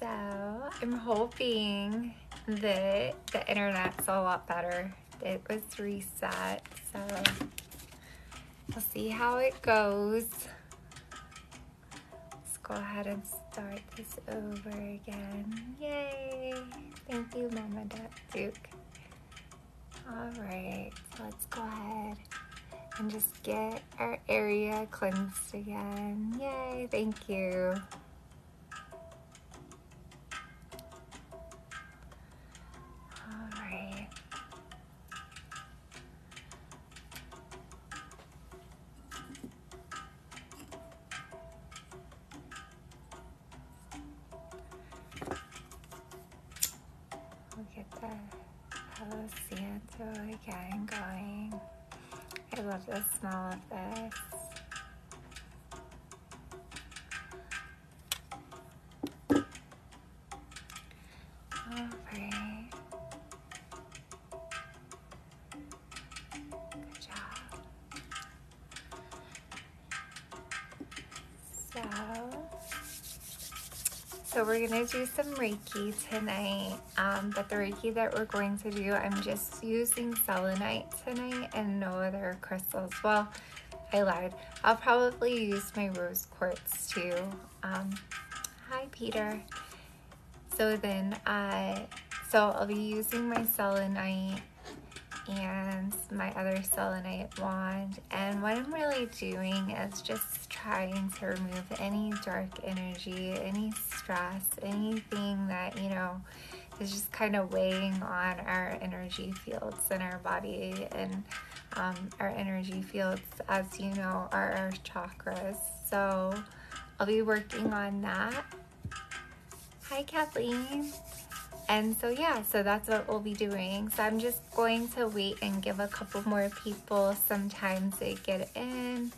So I'm hoping that the internet's a lot better. It was reset, so we'll see how it goes. Let's go ahead and start this over again. Yay! Thank you, Mama Duke. All right, so let's go ahead and just get our area cleansed again. Yay, thank you. All get the Palo Santo again going. I love the smell of this. All right. Good job. So, so we're gonna do some Reiki tonight. Um, but the Reiki that we're going to do, I'm just using selenite tonight and no other crystals. Well, I lied. I'll probably use my rose quartz too. Um, hi, Peter. So then, I, uh, so I'll be using my selenite and my other selenite wand. And what I'm really doing is just trying to remove any dark energy, any stress, anything that, you know, is just kind of weighing on our energy fields and our body and um, our energy fields, as you know, are our chakras. So I'll be working on that. Hi, Kathleen. And so, yeah, so that's what we'll be doing. So I'm just going to wait and give a couple more people some time to get in.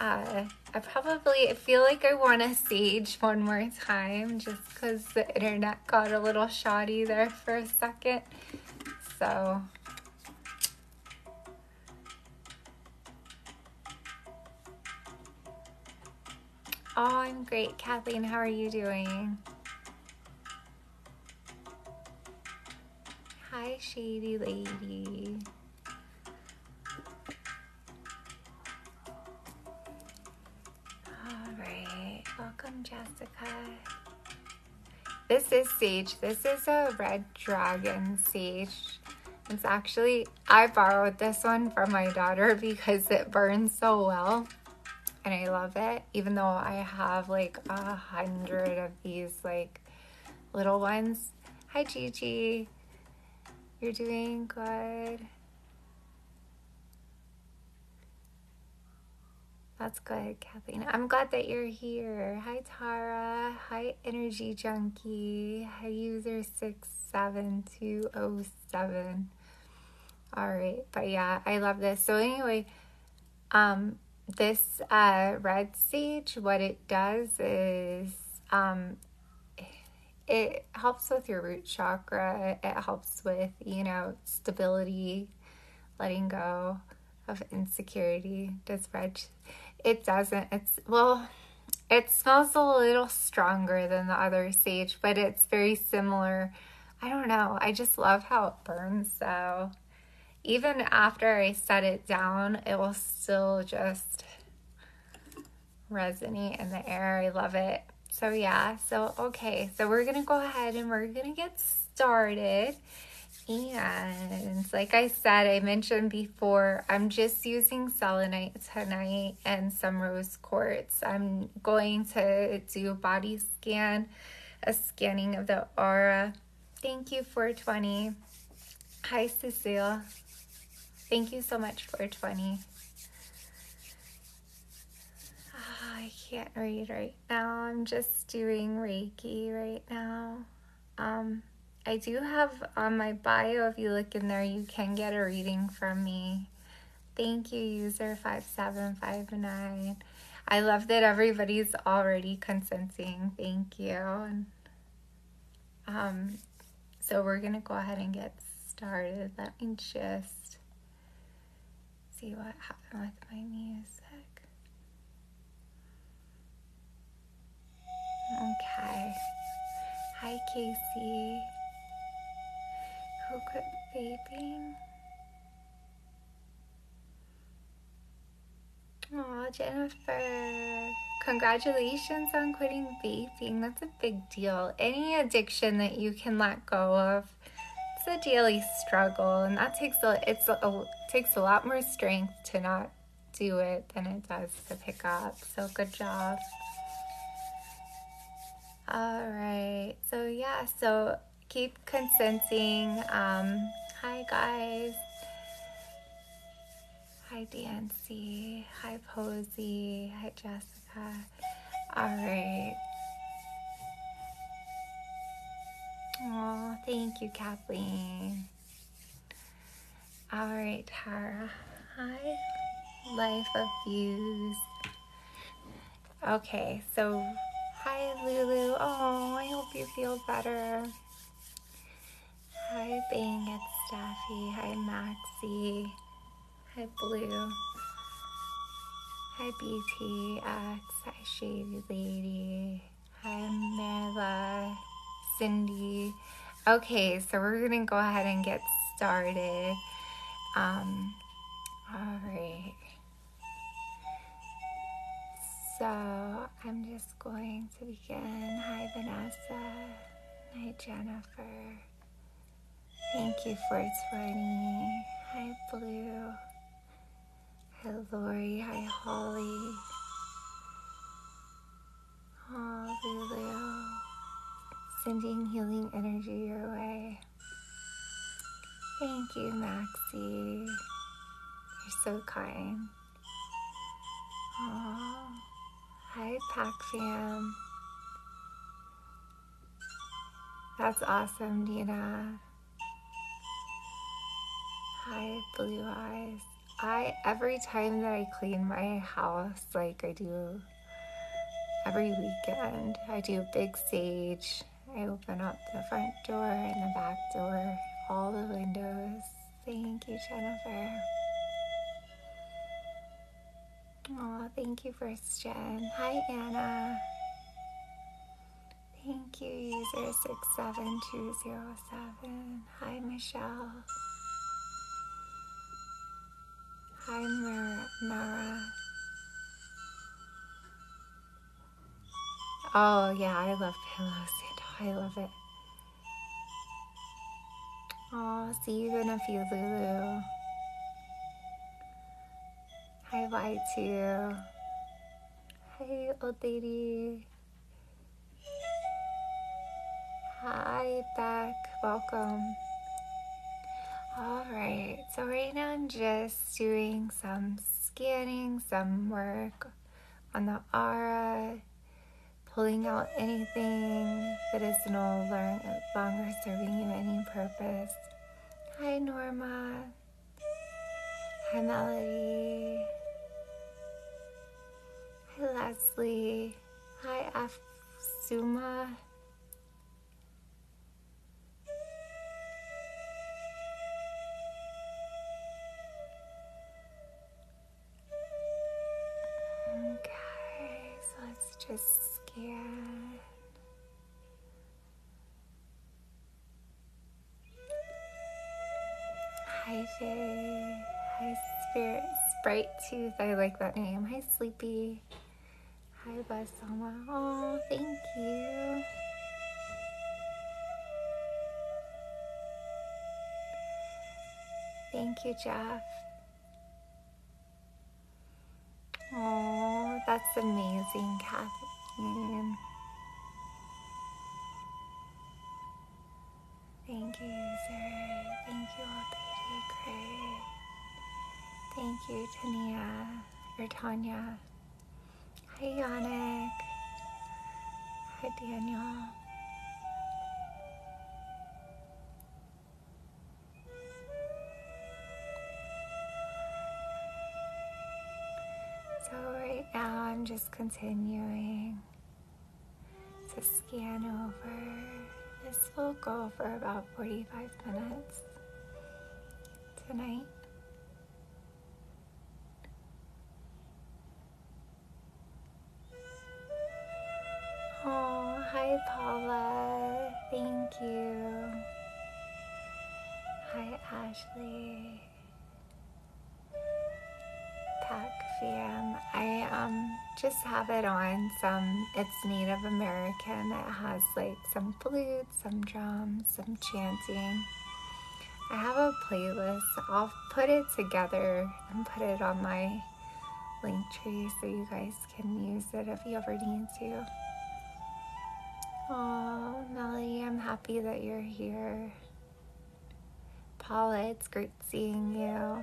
Uh, I probably I feel like I want to sage one more time just because the internet got a little shoddy there for a second. So Oh, I'm great. Kathleen, how are you doing? Hi, shady lady. All right, welcome Jessica. This is sage. This is a red dragon sage. It's actually, I borrowed this one from my daughter because it burns so well and I love it. Even though I have like a hundred of these like little ones. Hi, Gigi. You're doing good. That's good, Kathleen. I'm glad that you're here. Hi, Tara. Hi, Energy Junkie. Hi, user Six Seven Two oh All right. But yeah, I love this. So, anyway, um, this uh, red sage, what it does is um, it helps with your root chakra. It helps with, you know, stability, letting go of insecurity. Does red? It doesn't. It's well, it smells a little stronger than the other sage, but it's very similar. I don't know. I just love how it burns So Even after I set it down, it will still just resiny in the air. I love it. So yeah, so okay, so we're gonna go ahead and we're gonna get started. And like I said, I mentioned before, I'm just using selenite tonight and some rose quartz. I'm going to do a body scan, a scanning of the aura. Thank you, for 20. Hi, Cecile. Thank you so much, for Oh, I can't read right now. I'm just doing Reiki right now. Um, I do have on my bio, if you look in there, you can get a reading from me. Thank you, user 5759. I love that everybody's already consenting. Thank you. Um, so we're going to go ahead and get started. Let me just see what happened with my music. Okay. Hi, Casey. Who quit vaping? Aw, Jennifer congratulations on quitting vaping. That's a big deal. Any addiction that you can let go of, it's a daily struggle, and that takes a it's a, takes a lot more strength to not do it than it does to pick up. So good job. All right. So yeah. So keep consensing. Um, hi guys. Hi, Dancy. Hi, Posy. Hi, Jessica. All right. Oh, thank you, Kathleen. All right, Tara. Hi, Life of Views. Okay, so hi, Lulu. Oh, I hope you feel better. Hi, Bing, it's Staffy. Hi, Maxie. Hi, Blue. Hi, BTX. Hi, Shady Lady. Hi, Mela. Cindy. Okay, so we're going to go ahead and get started. Um, all right. So I'm just going to Hi, Vanessa. Hi, Jennifer. Thank you for 20. Hi, Blue. Hi, Lori. Hi, Holly. Oh, Lulu. Sending healing energy your way. Thank you, Maxie. You're so kind hi, Pac Fam. That's awesome, Dina. Hi, Blue Eyes. I every time that I clean my house, like I do every weekend, I do big sage. I open up the front door and the back door, all the windows. Thank you, Jennifer. Oh, thank you, First Gen. Hi, Anna. Thank you, user 67207. Hi, Michelle. Hi, Mara. Mara. Oh, yeah, I love pillows. I love it. Aw, see you in a few, Lulu. Hi, bye to you. old lady. Hi, back. Welcome. Alright, so right now I'm just doing some scanning, some work on the aura, pulling out anything that is no longer serving you any purpose. Hi, Norma. Hi, Melody. Hi, Leslie. Hi, Afsuma. Okay, so let's just scan. Hi, Jay. Hi, Spirit. Sprite Tooth. I like that name. Hi, Sleepy. Hi, Basama. Oh, thank you. Thank you, Jeff. Oh, that's amazing, Kathleen. Thank you, user. Thank you, old lady. Thank you, Tania or Tanya. Hi, Yannick. Hi, Daniel. So, right now, I'm just continuing to scan over. This will go for about 45 minutes tonight. Oh, hi Paula. Thank you. Hi Ashley. Pac I um just have it on some it's Native American. It has like some flutes, some drums, some chanting. I have a playlist. I'll put it together and put it on my link tree so you guys can use it if you ever need to. Oh, Melody, I'm happy that you're here. Paula, it's great seeing you.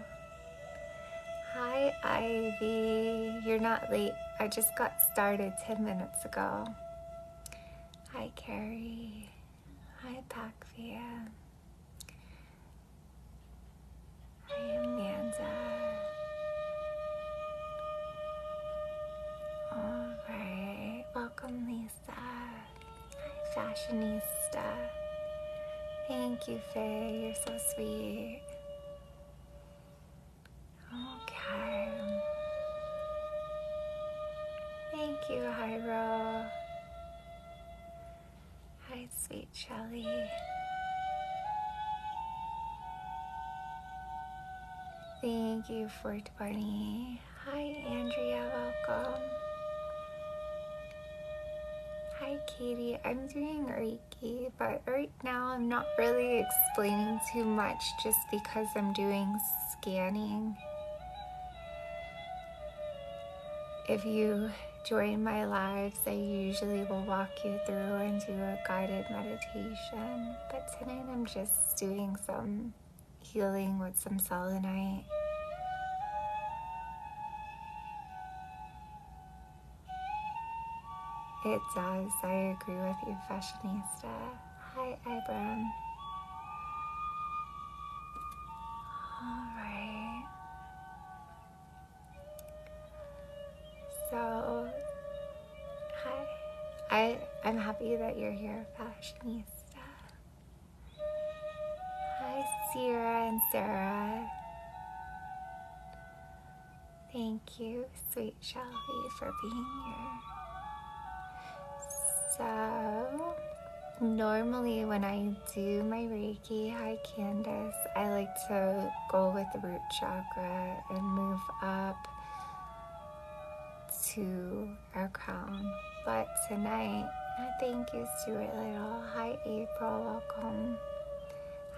Hi, Ivy. You're not late. I just got started 10 minutes ago. Hi, Carrie. Hi, Pacvia. I am Ganza. Alright, welcome Lisa. Hi Fashionista. Thank you, Faye. You're so sweet. Okay. Thank you, Hyra. Hi, sweet Shelly. Thank you for joining. Hi, Andrea. Welcome. Hi, Katie. I'm doing Reiki, but right now I'm not really explaining too much just because I'm doing scanning. If you join my live, they usually will walk you through and do a guided meditation, but tonight I'm just doing some healing with some selenite. It does. I agree with you, fashionista. Hi, Ibram. All right. So, hi. I, I'm happy that you're here, fashionista. Hi, Sierra and Sarah. Thank you, sweet Shelby, for being here. So, normally when I do my reading, Hi, Candace. I like to go with the root chakra and move up to our crown. But tonight, thank you, Stuart Little. Hi, April. Welcome.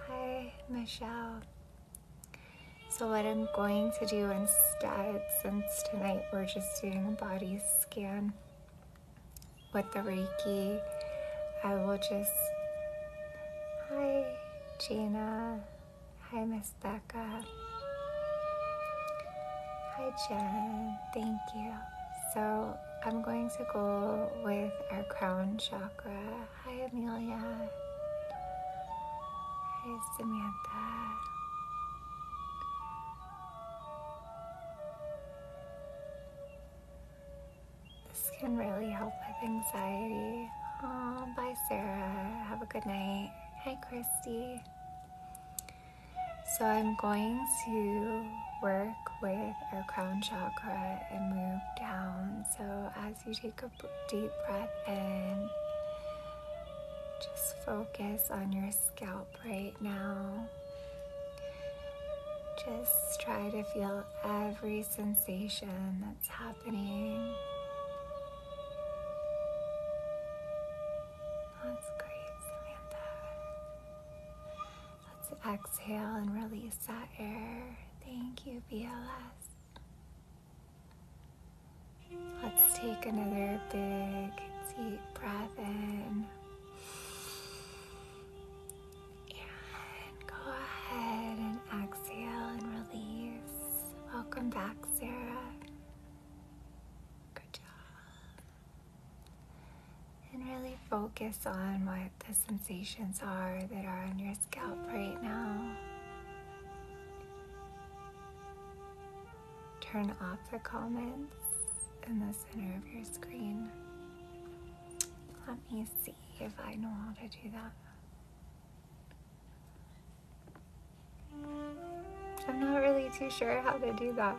Hi, Michelle. So, what I'm going to do instead, since tonight we're just doing a body scan, with the Reiki, I will just, hi Gina, hi Miss Becca, hi Jen, thank you. So I'm going to go with our crown chakra. Hi Amelia, hi Samantha. This can really help with anxiety. bye, Sarah. Have a good night. Hi, Christy. So, I'm going to work with our crown chakra and move down. So, as you take a deep breath in, just focus on your scalp right now. Just try to feel every sensation that's happening. That's great, Samantha. Let's exhale and release that air. Thank you, BLS. Let's take another big, deep breath in. And go ahead and exhale and release. Welcome back, Sarah. Good job. And really focus on what the sensations are that are on your scalp right now. Turn off the comments in the center of your screen. Let me see if I know how to do that. I'm not really too sure how to do that.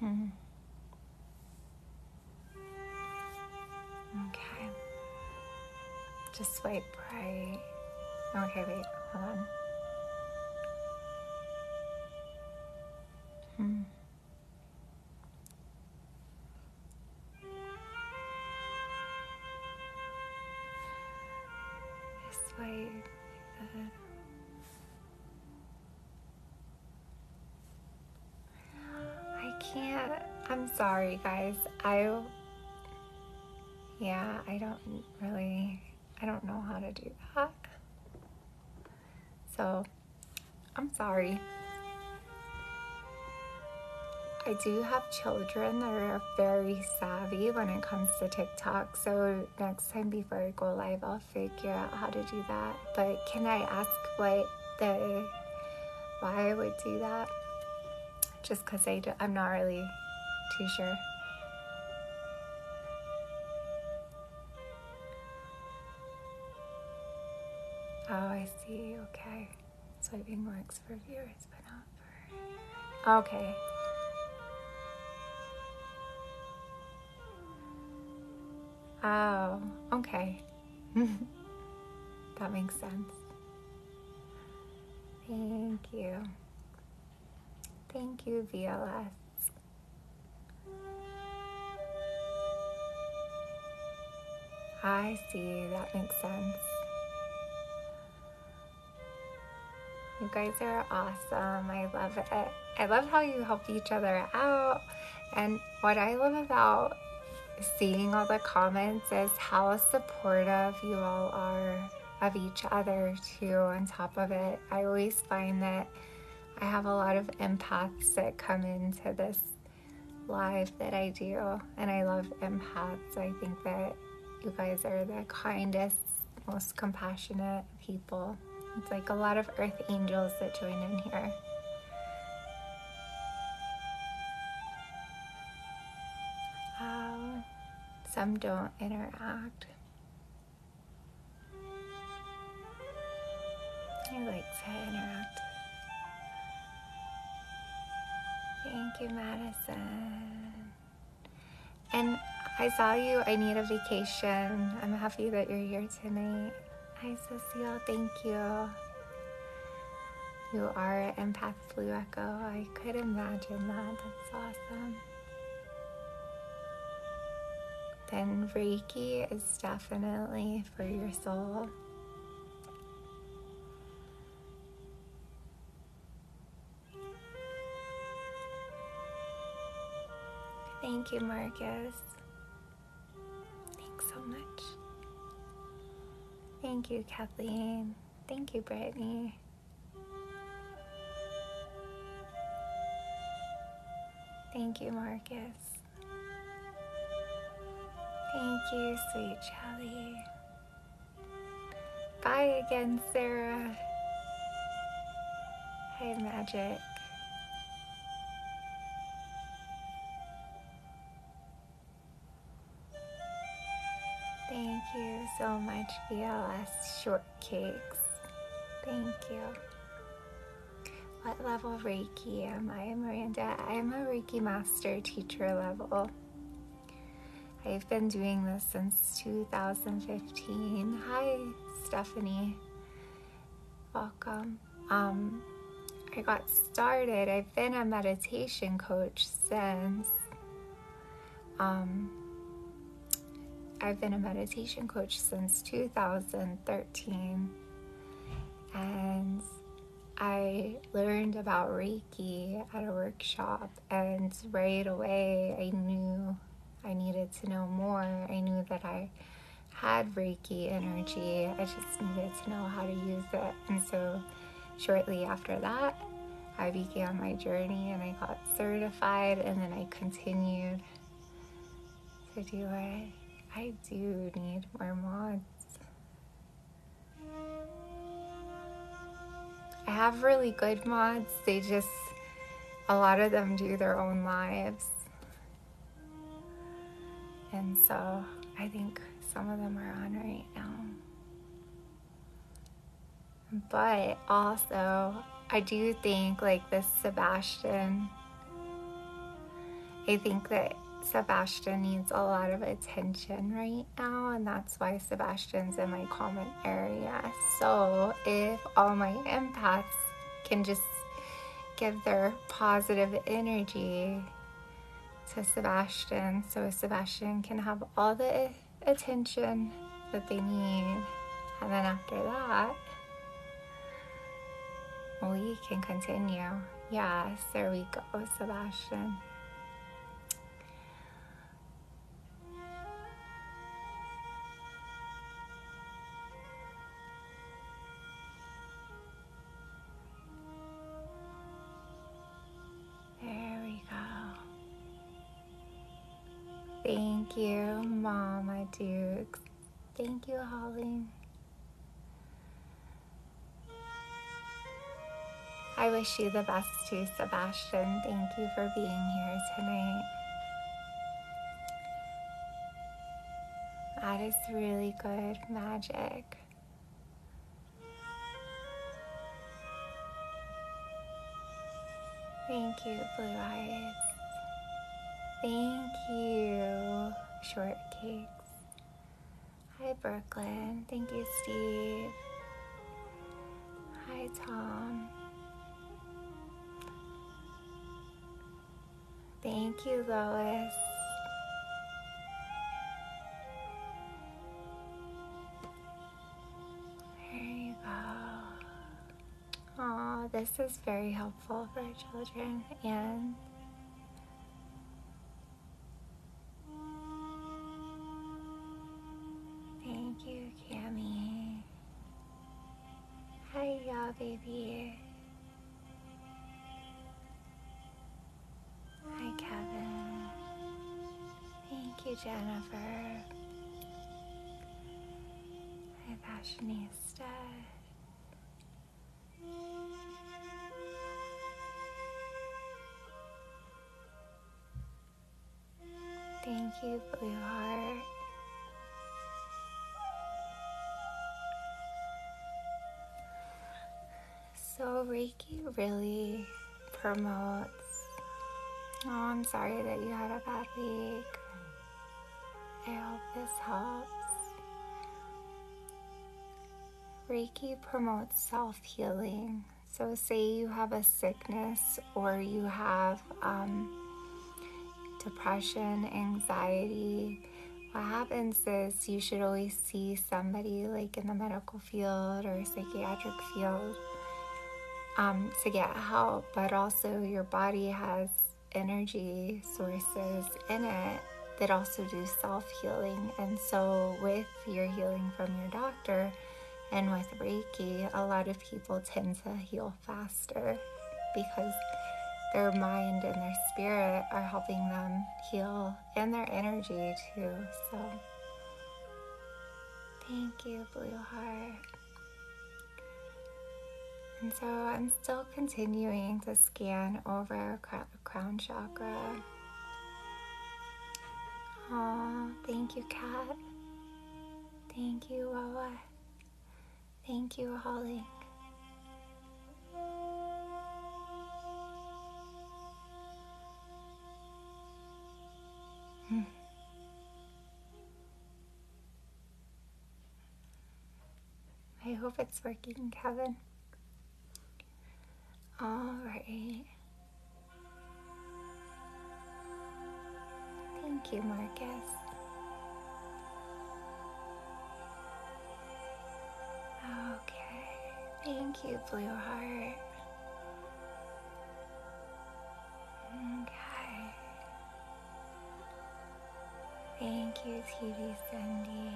Hmm. Okay. Just swipe right. Okay, wait, hold on. Hmm. This way, uh, I can't. I'm sorry, guys. I. Yeah, I don't really. I don't know how to do that. So I'm sorry. I do have children that are very savvy when it comes to TikTok. So next time before I go live, I'll figure out how to do that. But can I ask what the, why I would do that? Just cause I do, I'm not really too sure. Oh, I see. Okay. Swiping works for viewers, but not for. Okay. Oh, okay. that makes sense. Thank you. Thank you, VLS. I see, that makes sense. You guys are awesome. I love it. I love how you help each other out. And what I love about seeing all the comments is how supportive you all are of each other, too, on top of it. I always find that I have a lot of empaths that come into this life that I do, and I love empaths. I think that you guys are the kindest, most compassionate people. It's like a lot of earth angels that join in here. some don't interact. He likes how I interact. Thank you, Madison. And I saw you. I need a vacation. I'm happy that you're here tonight. Hi, Cecile. Thank you. You are an empath blue echo. I could imagine that. That's awesome. Then Reiki is definitely for your soul. Thank you, Marcus. Thanks so much. Thank you, Kathleen. Thank you, Brittany. Thank you, Marcus. Thank you, sweet Jelly. Bye again, Sarah. Hey, Magic. Thank you so much, BLS Short cupcakes. Thank you. What level Reiki am I, Miranda? I am a Reiki Master Teacher level. I've been doing this since 2015. Hi, Stephanie. Welcome. Um, I got started. I've been a meditation coach since um, I've been a meditation coach since 2013 and I learned about Reiki at a workshop and right away I knew I needed to know more. I knew that I had Reiki energy. I just needed to know how to use it. And so shortly after that, I began my journey and I got certified and then I continued so do I I do need more mods. I have really good mods, they just a lot of them do their own lives. And so I think some of them are on right now. But also, I do think like this Sebastian, I think that Sebastian needs a lot of attention right now, and that's why Sebastian's in my comment area. So, if all my empaths can just give their positive energy to Sebastian, so Sebastian can have all the attention that they need, and then after that, we can continue. Yes, there we go, Sebastian. There we go. Thank you, Mom, my Thank you, Holly. I wish you the best too, Sebastian. Thank you for being here tonight. That is really good magic. Thank you, Blue Eyes. Thank you, Shortcakes. Hi, Brooklyn. Thank you, Steve. Hi, Tom. Thank you, Lois. There you go. Oh, this is very helpful for children and thank you, Cammy. Hi, y'all, baby. Hi, Kevin. Thank you, Jennifer by Vashni Thank you, Blue Heart. So, Reiki really promotes. Oh, I'm sorry that you had a bad week. I hope this helps. Reiki promotes self healing. So, say you have a sickness or you have um, depression, anxiety. What happens is you should always see somebody like in the medical field or psychiatric field um, to get help, but also your body has energy sources in it that also do self healing. And so, with your healing from your doctor and with Reiki, a lot of people tend to heal faster because their mind and their spirit are helping them heal and their energy too. So, thank you, Blue Heart. And so I'm still continuing to scan over crown chakra. Oh, thank you, Cat. Thank you, Wawa. Thank you, Holly. Hmm. I hope it's working, Kevin. Alright. Thank you, Marcus. Okay. Thank you, Blue Heart. Okay. Thank you, TV Sandy.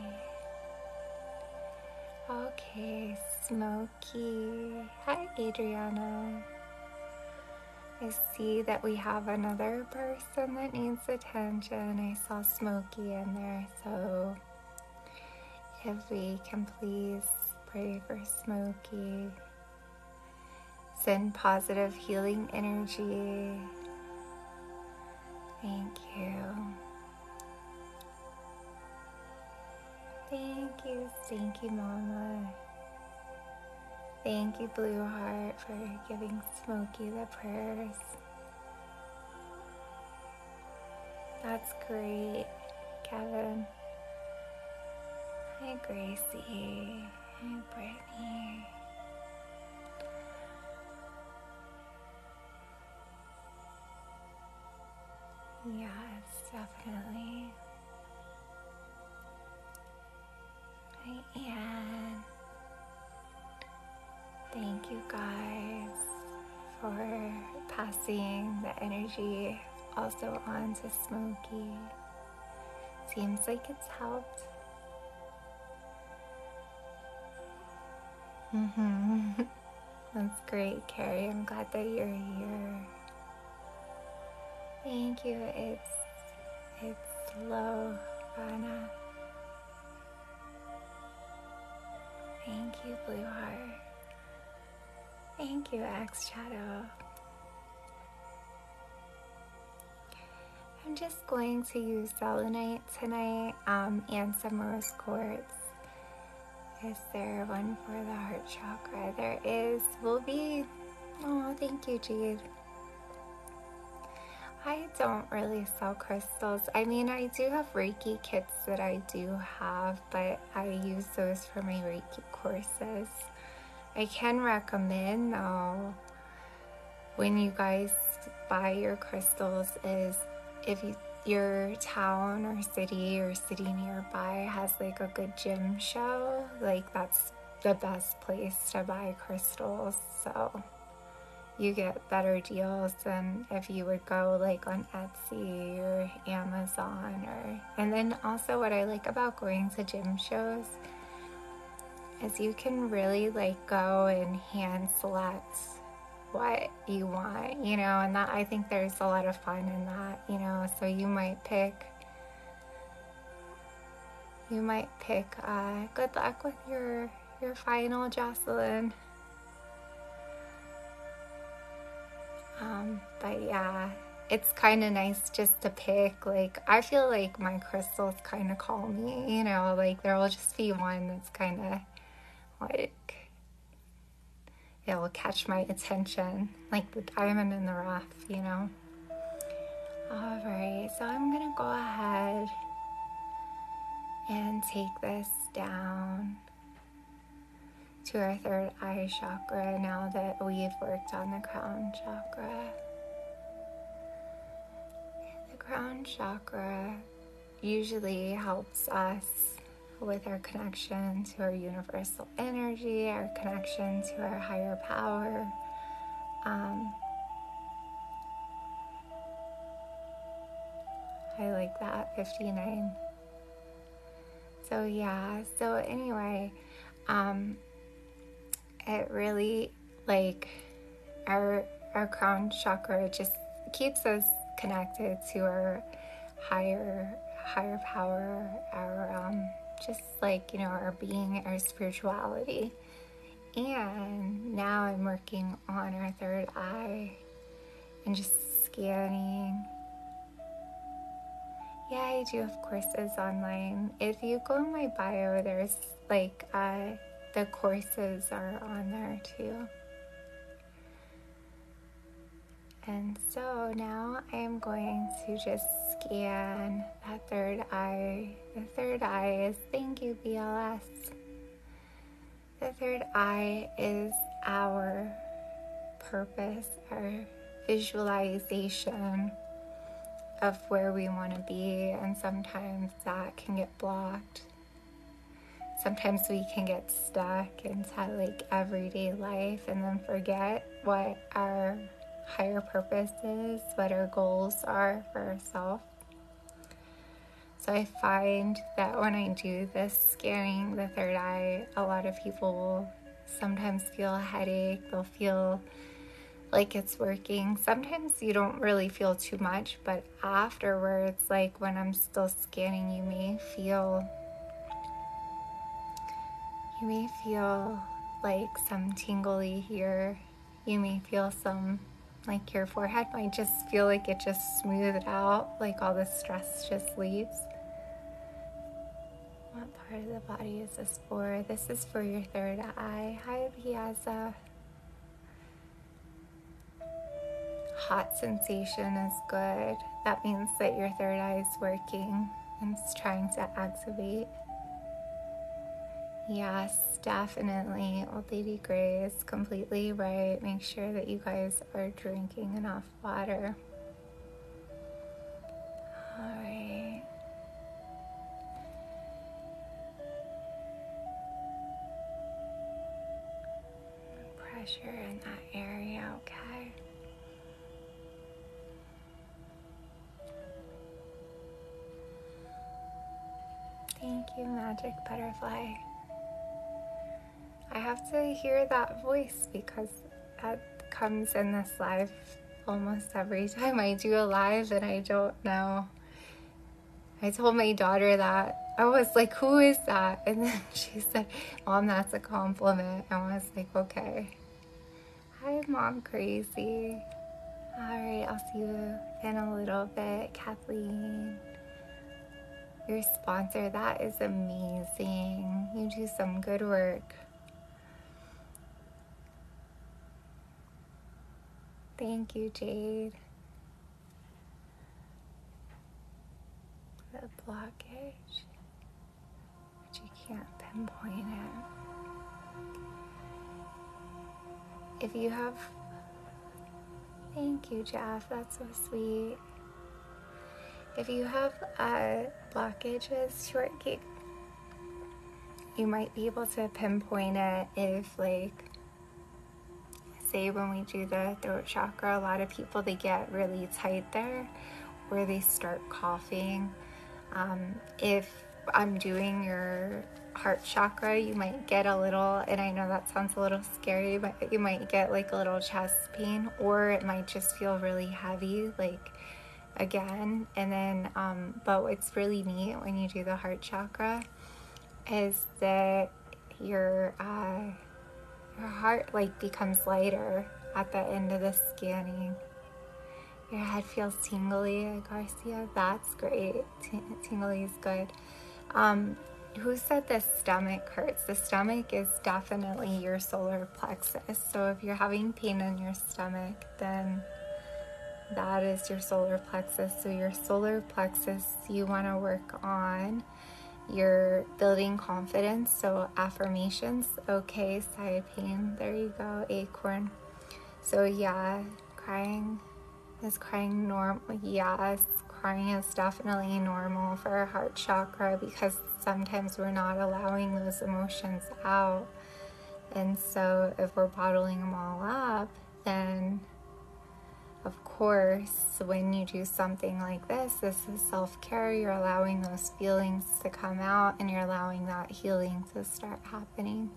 Okay, Smokey. Hi, Adriana. I see that we have another person that needs attention. I saw Smokey in there, so if we can please pray for Smokey Send positive healing energy. Thank you. Thank you, thank you, Mama. Thank you, Blue Heart, for giving Smokey the prayers. That's great, Kevin. Hi, Gracie. Hi, Britt here. Yes, definitely. I am. Thank you guys for passing the energy also on to Smokey. Seems like it's helped. hmm. That's great, Carrie. I'm glad that you're here. Thank you. It's it's slow, Rana. Thank you, Blue Heart. Thank you, Axe Shadow. I'm just going to use selenite tonight um, and some rose quartz. Is there one for the heart chakra? There is. Will be. Oh, thank you, Jade. I don't really sell crystals. I mean, I do have Reiki kits that I do have, but I use those for my Reiki courses. I can recommend, though, when you guys buy your crystals is if your town or city or city nearby has like a good gym show, like that's the best place to buy crystals. So you get better deals than if you would go like on Etsy or Amazon or and then also what I like about going to gym shows as you can really like go and hand select what you want, you know, and that I think there's a lot of fun in that, you know, so you might pick you might pick uh, good luck with your your final Jocelyn. Um, but yeah, it's kind of nice just to pick. Like, I feel like my crystals kind of call me, you know, like there will just be one that's kind of like it'll catch my attention, like the diamond in the rough, you know. All right, so I'm gonna go ahead and take this down to our third eye chakra now that we've worked on the crown chakra. The crown chakra usually helps us with our connection to our universal energy, our connection to our higher power. Um, I like that 59. So, yeah, so anyway, um, it really like our our crown chakra just keeps us connected to our higher higher power our um just like you know our being our spirituality and now i'm working on our third eye and just scanning yeah i do have courses online if you go in my bio there's like the courses are on there too. And so now I am going to just scan that third eye. The third eye is thank you, BLS. The third eye is our purpose, our visualization of where we want to be, and sometimes that can get blocked. Sometimes we can get stuck inside like everyday life and then forget what our higher purpose is, what our goals are for ourselves. So I find that when I do this scanning the third eye, a lot of people will sometimes feel a headache, they'll feel like it's working. Sometimes you don't really feel too much, but afterwards, like when I'm still scanning, you may feel you may feel like some tingly here. You may feel some like your forehead might just feel like it just smoothed out, like all the stress just leaves. What part of the body is this for? This is for your third eye. Hi, Piazza. Hot sensation is good. That means that your third eye is working and it's trying to activate. Yes, definitely. Old Lady Gray is completely right. Make sure that you guys are drinking enough water. All right. Pressure in that area, okay? Thank you, Magic Butterfly. I have to hear that voice because that comes in this life almost every time I do a live and I don't know I told my daughter that. I was like, who is that? And then she said, Mom, that's a compliment. And I was like, okay. Hi, Mom Crazy. All right, I'll see you in a little bit, Kathleen. Your sponsor, that is amazing. You do some good work. Thank you, Jade. The blockage, but you can't pinpoint it. If you have, thank you, Jeff, that's so sweet. If you have uh, blockages, shortcake, you might be able to pinpoint it if, like, Say when we do the throat chakra, a lot of people they get really tight there where they start coughing. Um, if I'm doing your heart chakra, you might get a little, and I know that sounds a little scary, but you might get like a little chest pain, or it might just feel really heavy, like again. And then, um, but what's really neat when you do the heart chakra is that your uh, your heart like becomes lighter at the end of the scanning. Your head feels tingly, Garcia. That's great. T- tingly is good. Um, who said the stomach hurts? The stomach is definitely your solar plexus. So if you're having pain in your stomach, then that is your solar plexus. So, your solar plexus, you want to work on your building confidence. So, affirmations. Okay, side pain. There you go, acorn. So, yeah, crying is crying normal. Yes, crying is definitely normal for our heart chakra because sometimes we're not allowing those emotions out. And so, if we're bottling them all up, then, of course, when you do something like this, this is self care. You're allowing those feelings to come out and you're allowing that healing to start happening.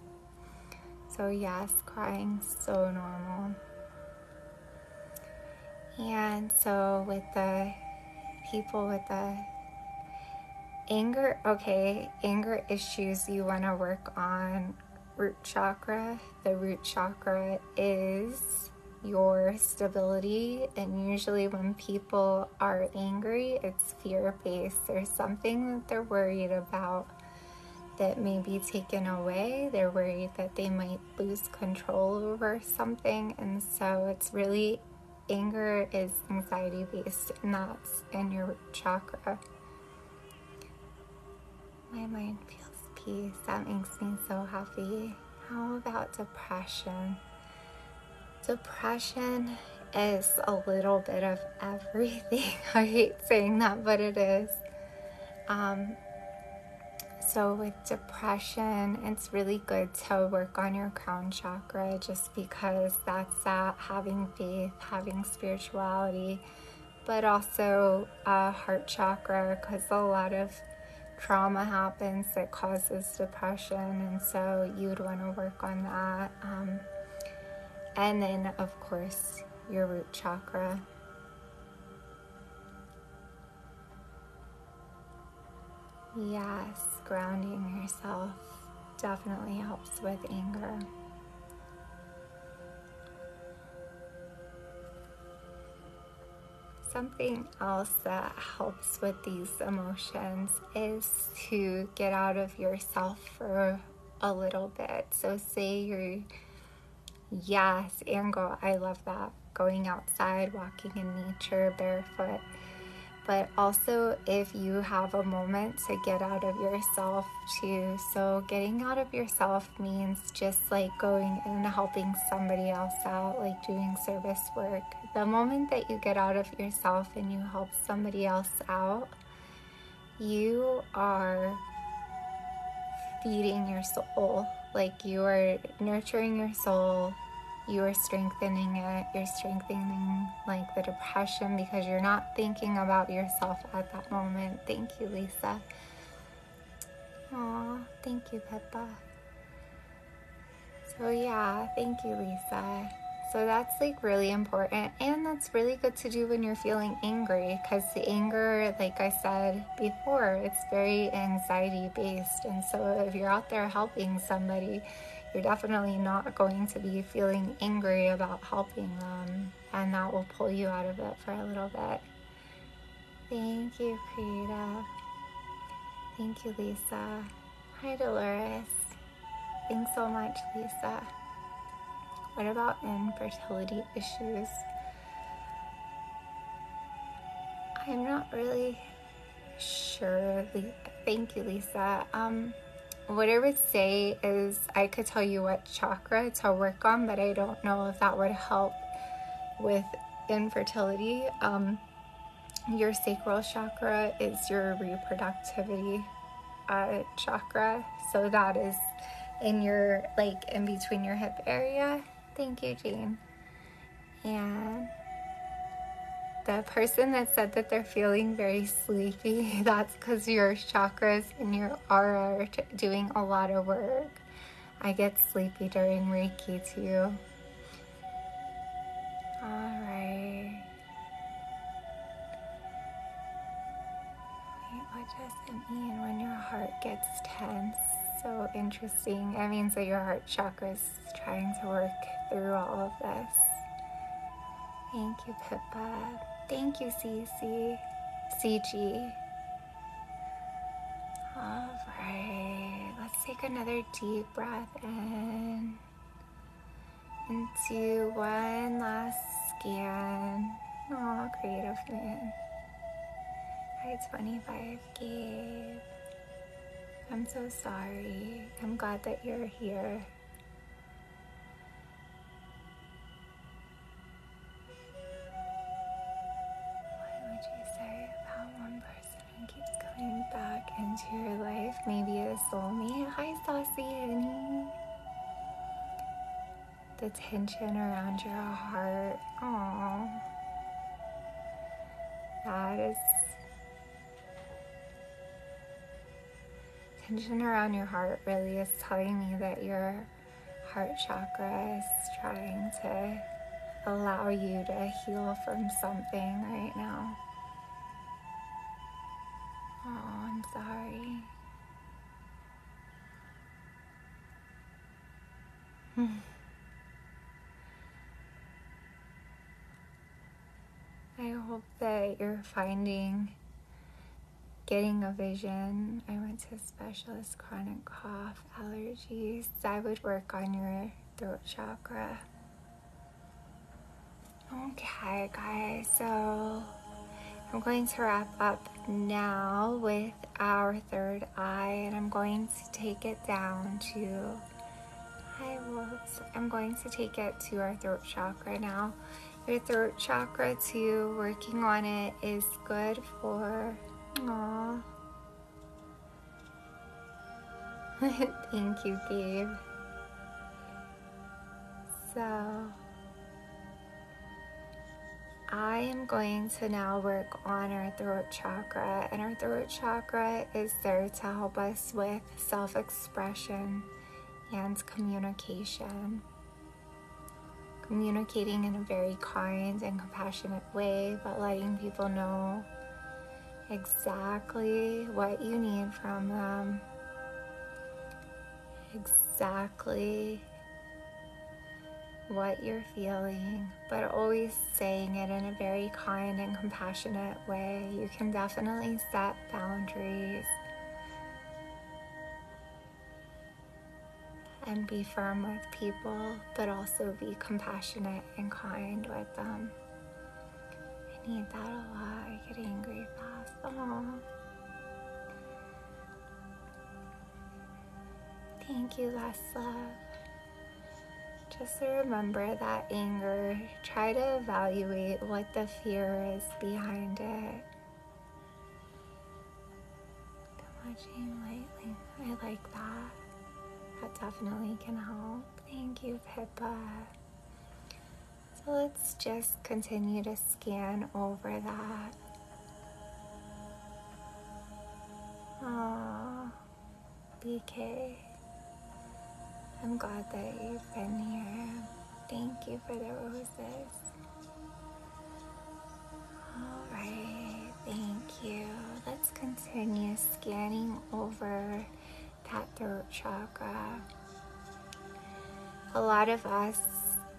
So, yes, crying so normal. And so, with the people with the anger, okay, anger issues you want to work on root chakra. The root chakra is your stability, and usually, when people are angry, it's fear based. There's something that they're worried about that may be taken away. They're worried that they might lose control over something, and so it's really anger is anxiety based, not in your chakra. My mind feels peace. That makes me so happy. How about depression? Depression is a little bit of everything. I hate saying that, but it is. Um, so, with depression, it's really good to work on your crown chakra just because that's that having faith, having spirituality, but also uh, heart chakra because a lot of trauma happens that causes depression, and so you'd want to work on that. Um, and then, of course, your root chakra. Yes, grounding yourself definitely helps with anger. Something else that helps with these emotions is to get out of yourself for a little bit. So, say your yes, and go, I love that. Going outside, walking in nature, barefoot. But also, if you have a moment to get out of yourself too. So, getting out of your yourself means just like going and helping somebody else out, like doing service work. The moment that you get out of yourself and you help somebody else out, you are feeding your soul. Like you are nurturing your soul, you are strengthening it, you're strengthening like the depression because you're not thinking about yourself at that moment. Thank you, Lisa. Melissa. thank you, Peppa. So yeah, thank you, Lisa. So that's like really important and that's really good to do when you're feeling angry because the anger, like I said before, it's very anxiety based. And so if you're out there helping somebody, you're definitely not going to be feeling angry about helping them and that will pull you out of it for a little bit. Thank you, Krita. Thank you, Lisa. Hi, Dolores. Thanks so much, Lisa. What about infertility issues? I'm not really sure. Thank you, Lisa. Um, what I would say is I could tell you what chakra to work on, but I don't know if that would help with infertility. Um, your sacral chakra is your reproductivity uh, chakra, so that is in your like in between your hip area. Thank you, Jane. Yeah, the person that said that they're feeling very sleepy, That's because your chakras and your aura are doing a lot of work. I get sleepy during Reiki too. All right. Wait, what does it mean when your heart gets tense? So interesting. That means that your heart chakra is trying to work through all of this. Thank you, Pippa. Thank you, CC. CG. Alright, let's take another deep breath And do one last scan. Oh, creative man. Hi, 25 Gabe. I'm so sorry. I'm glad that you're here. Why would you say about one person who keeps coming back into your life? Maybe a soulmate. Hi, Saucy honey. The tension around your heart. Aww. That is tension around your heart really is telling me that you're heart chakra is trying to allow you to heal from something right now. Oh, I'm sorry. I hope that you're finding getting a vision. I went to a specialist, chronic cough, allergies. I would work on your throat chakra. Okay, guys, so I'm going to wrap up now with our third eye, and I'm going to take it down to. Hi, wolves. I'm going to take it to our throat chakra right now your throat chakra too. Working on it is good for. Aww. Thank you, Gabe. So, I am going to now work on our throat chakra, and our throat chakra is there to help us with self expression and communication communicating in a very kind and compassionate way, but letting people know exactly what you need from them, exactly what you're feeling, but always saying it in a very kind and compassionate way. You can definitely set boundaries and be firm with people, but also be compassionate and kind with them. I need that a lot. I get angry fast. Oh. Thank you, last Just remember that anger, try to evaluate what the fear is behind it. Been watching lately. I like that. That definitely can help. Thank you, Pippa. So let's just continue to scan over that. Aww, BK. I'm glad that you've been here. Thank you for the roses is Alright, thank you. Let's continue scanning over that throat chakra. A lot of us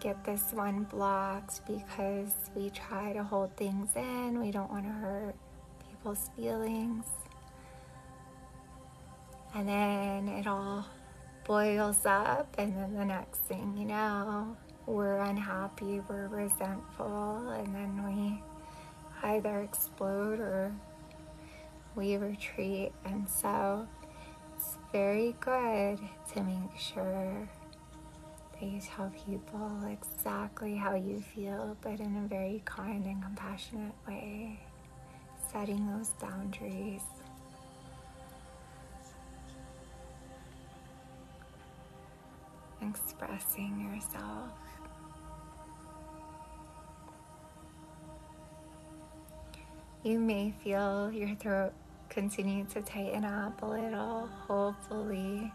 get this one blocked because we try to hold things in, we don't want to hurt people's feelings. And then it all boils up, and then the next thing you know, we're unhappy, we're resentful, and then we either explode or we retreat. And so it's very good to make sure that you tell people exactly how you feel, but in a very kind and compassionate way, setting those boundaries. Expressing yourself. You may feel your throat continue to tighten up a little, hopefully.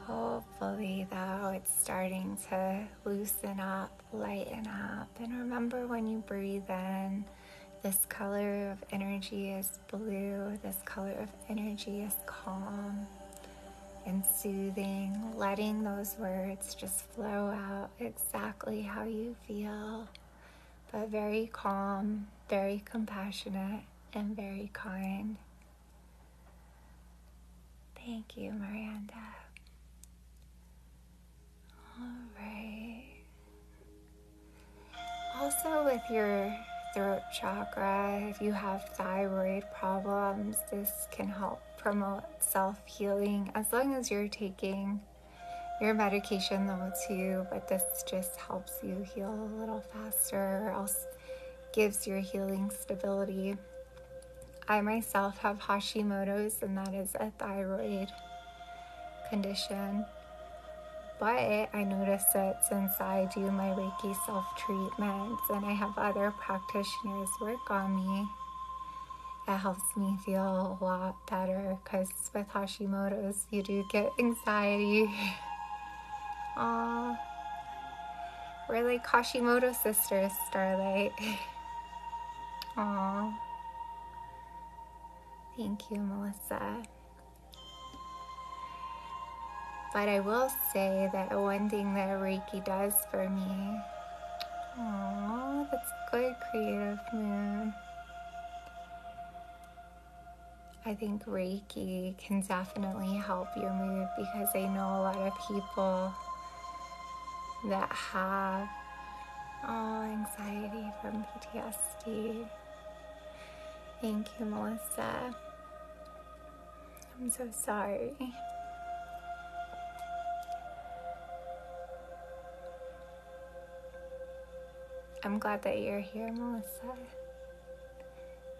Hopefully, though, it's starting to loosen up, lighten up. And remember when you breathe in, this color of energy is blue, this color of energy is calm and soothing, letting those words just flow out exactly how you feel, but very calm, very compassionate, and very kind. Thank you, Miranda. All right. Also, with your throat chakra, if you have thyroid problems, this can help promote self healing as long as you're taking your medication, though, too. But this just helps you heal a little faster, or else gives your healing stability. I myself have Hashimoto's, and that is a thyroid condition. But I noticed that since I do my Reiki self treatments and I have other practitioners work on me, it helps me feel a lot better because with Hashimoto's, you do get anxiety. Aww. We're like Hashimoto sisters, Starlight. Aww. Thank you, Melissa. But I will say that one thing that Reiki does for me. Aww, that's good, Creative mood. I think Reiki can definitely help your mood because I know a lot of people that have oh, anxiety from PTSD Thank you, Melissa. I'm so sorry. I'm glad that you're here, Melissa.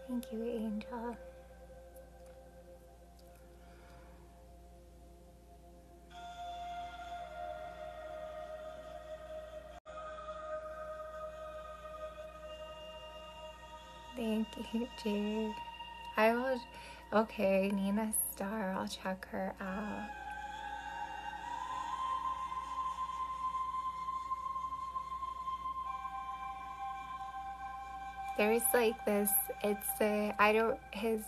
Thank you, Angel. Thank you, Jay. I will. Okay, Nina Star. I'll check her out. There's like this. It's the I don't his.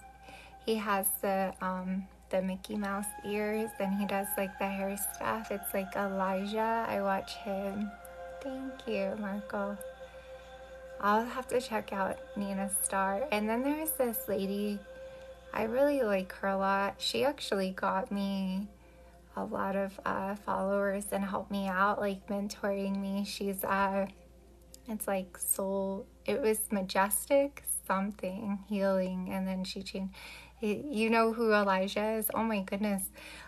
He has the um the Mickey Mouse ears then he does like the hair stuff. It's like Elijah. I watch him. Thank you, Marco. I'll have to check out Nina Star. And then there's this lady. I really like her a lot. She actually got me a lot of uh, followers and helped me out, like mentoring me. She's, uh, it's like soul, it was majestic something healing. And then she changed. You know who Elijah is? Oh my goodness.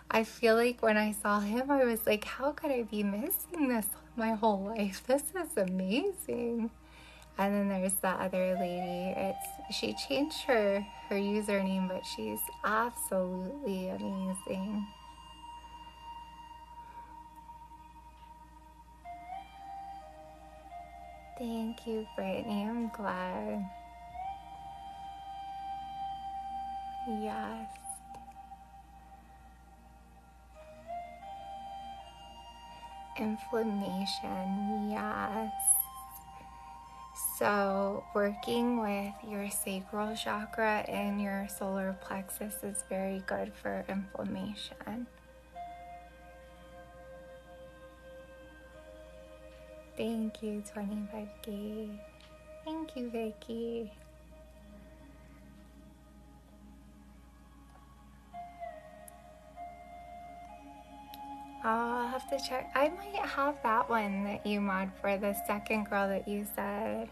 I feel like when I saw him, I was like, how could I be missing this my whole life? This is amazing. And then there's that other lady. It's she changed her her username, but she's absolutely amazing. Thank you, Brittany. I'm glad. Yes. Inflammation, yes. So, working with your sacral chakra and your solar plexus is very good for inflammation. Thank you, 25k. Thank you, Vicky. I'll have to check. I might have that one that you mod for the second girl that you said.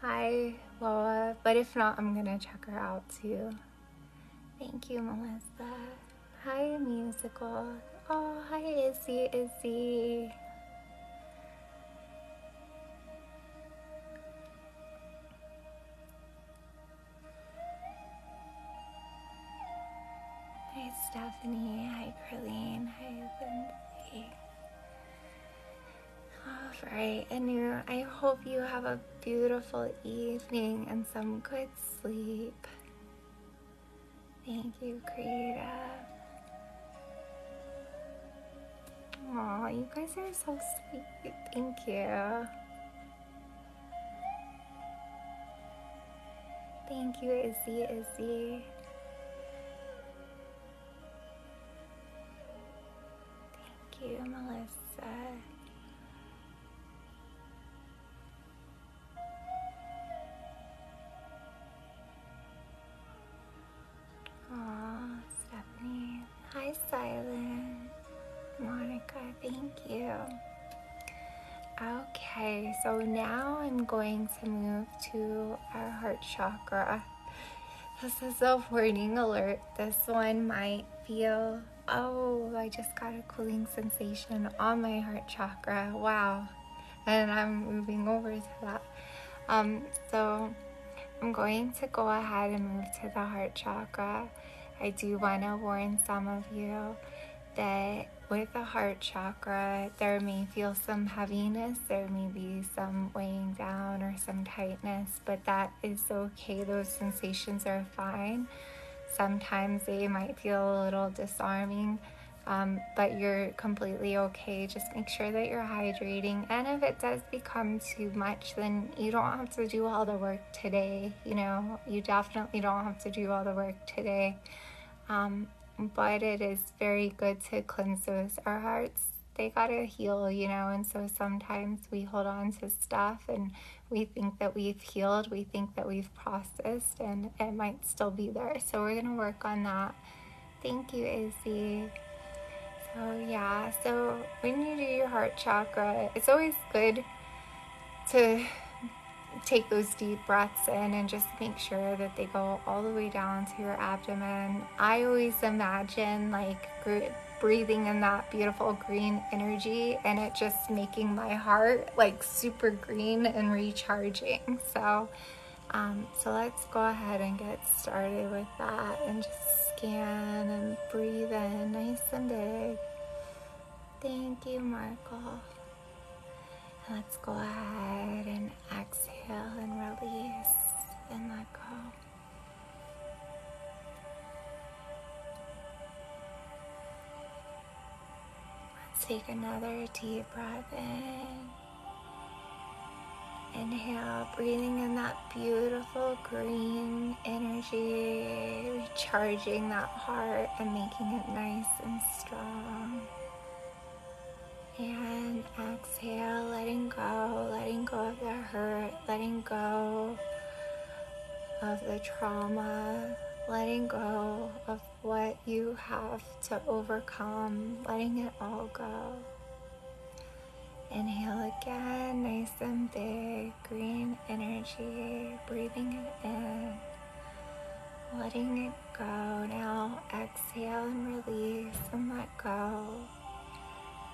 Hi, Loa. But if not, I'm going to check her out too. Thank you, Melissa. Hi, musical. Oh, hi, Izzy, Izzy. Hi, Stephanie. Hi, Carlene. Hi, Lindsay. All right, and you, I hope you have a beautiful evening and some good sleep. Thank you, Creator. Aw, you guys are so sweet. Thank you. Thank you, Izzy, Izzy. Thank you, Melissa. Aw, Stephanie. Hi, Silent. Monica, thank you. Okay, so now I'm going to move to our heart chakra. This is a warning alert. This one might feel, oh, I just got a cooling sensation on my heart chakra. Wow. And I'm moving over to that. Um, so I'm going to go ahead and move to the heart chakra. I do want to warn some of you that with the heart chakra, there may feel some heaviness, there may be some weighing down or some tightness, but that is okay. Those sensations are fine. Sometimes they might feel a little disarming, um, but you're completely okay. Just make sure that you're hydrating. And if it does become too much, then you don't have to do all the work today. You know, you definitely don't have to do all the work today. Um, but it is very good to cleanse those. Our hearts, they gotta heal, you know, and so sometimes we hold on to stuff and we think that we've healed, we think that we've processed, and it might still be there. So we're gonna work on that. Thank you, AC. So yeah, so when you do your heart chakra, it's always good to take those deep breaths in and just make sure that they go all the way down to your abdomen. I always imagine like breathing in that beautiful green energy and it just making my heart like super super green and recharging. So, um, so let's go ahead and get started with that and just scan and breathe in nice and big. Thank you, Markle. let's go ahead and exhale and release and let go. Let's take another deep breath in. Inhale, breathing in that beautiful green energy, recharging that heart and making it nice and strong. And exhale, letting go, letting go of the hurt, letting go of the trauma, letting go of what you have to overcome, letting it all go. Inhale again, nice and big, green energy, breathing it in, letting it go. Now exhale and release and let go.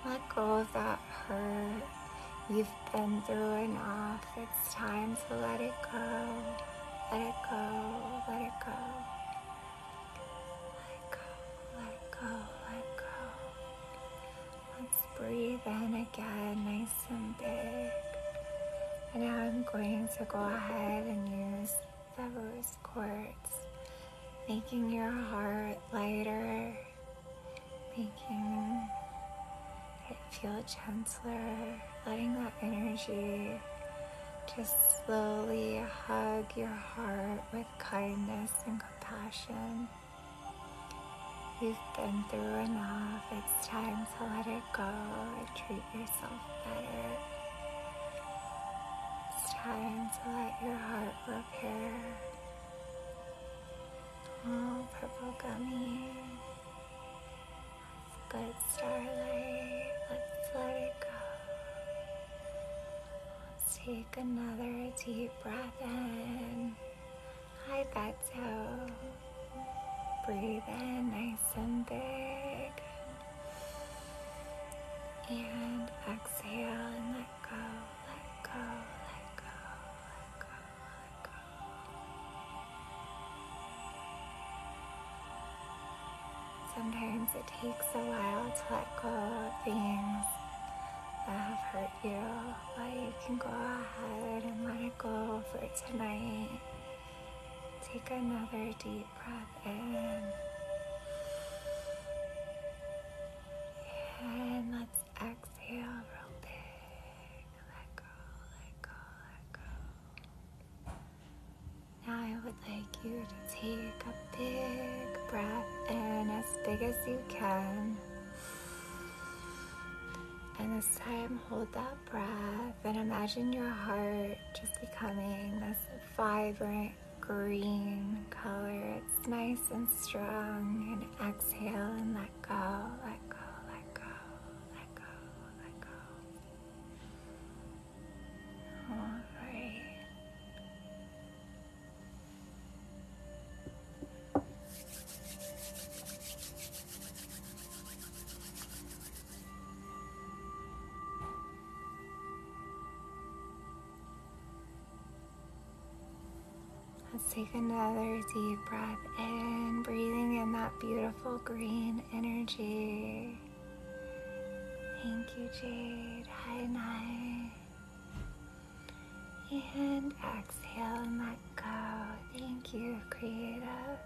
Let go of that hurt. You've been through enough. It's time to let it go. Let it go. Let it go. Let go. Let go. Let go. Let's breathe in again, nice and big. And now I'm going to go ahead and use the rose quartz, making your heart lighter, making Feel a gentler, letting that energy just slowly hug your heart with kindness and compassion. You've been through enough. It's time to let it go and treat yourself better. It's time to let your heart repair. Oh, purple gummy. Good starlight, let's let it go. Let's take another deep breath in. Hi, Beto. Breathe in nice and big. And exhale and let go, let go, let go, let go. Let go. Sometimes it takes a while to let go of things that have hurt you, but you can go ahead and let it go for tonight. Take another deep breath in. And let's exhale real big. Let go, let go, let go. Now I would like you to take a big breath in as big as you can. And this time, hold that breath and imagine your heart just becoming this vibrant green color. It's nice and strong. And exhale and let go, let go, let go, let go, let go. Alright. Let's take another deep breath in, breathing in that beautiful green energy. Thank you, Jade. Hi, Nai. And exhale and let go. Thank you, Creator.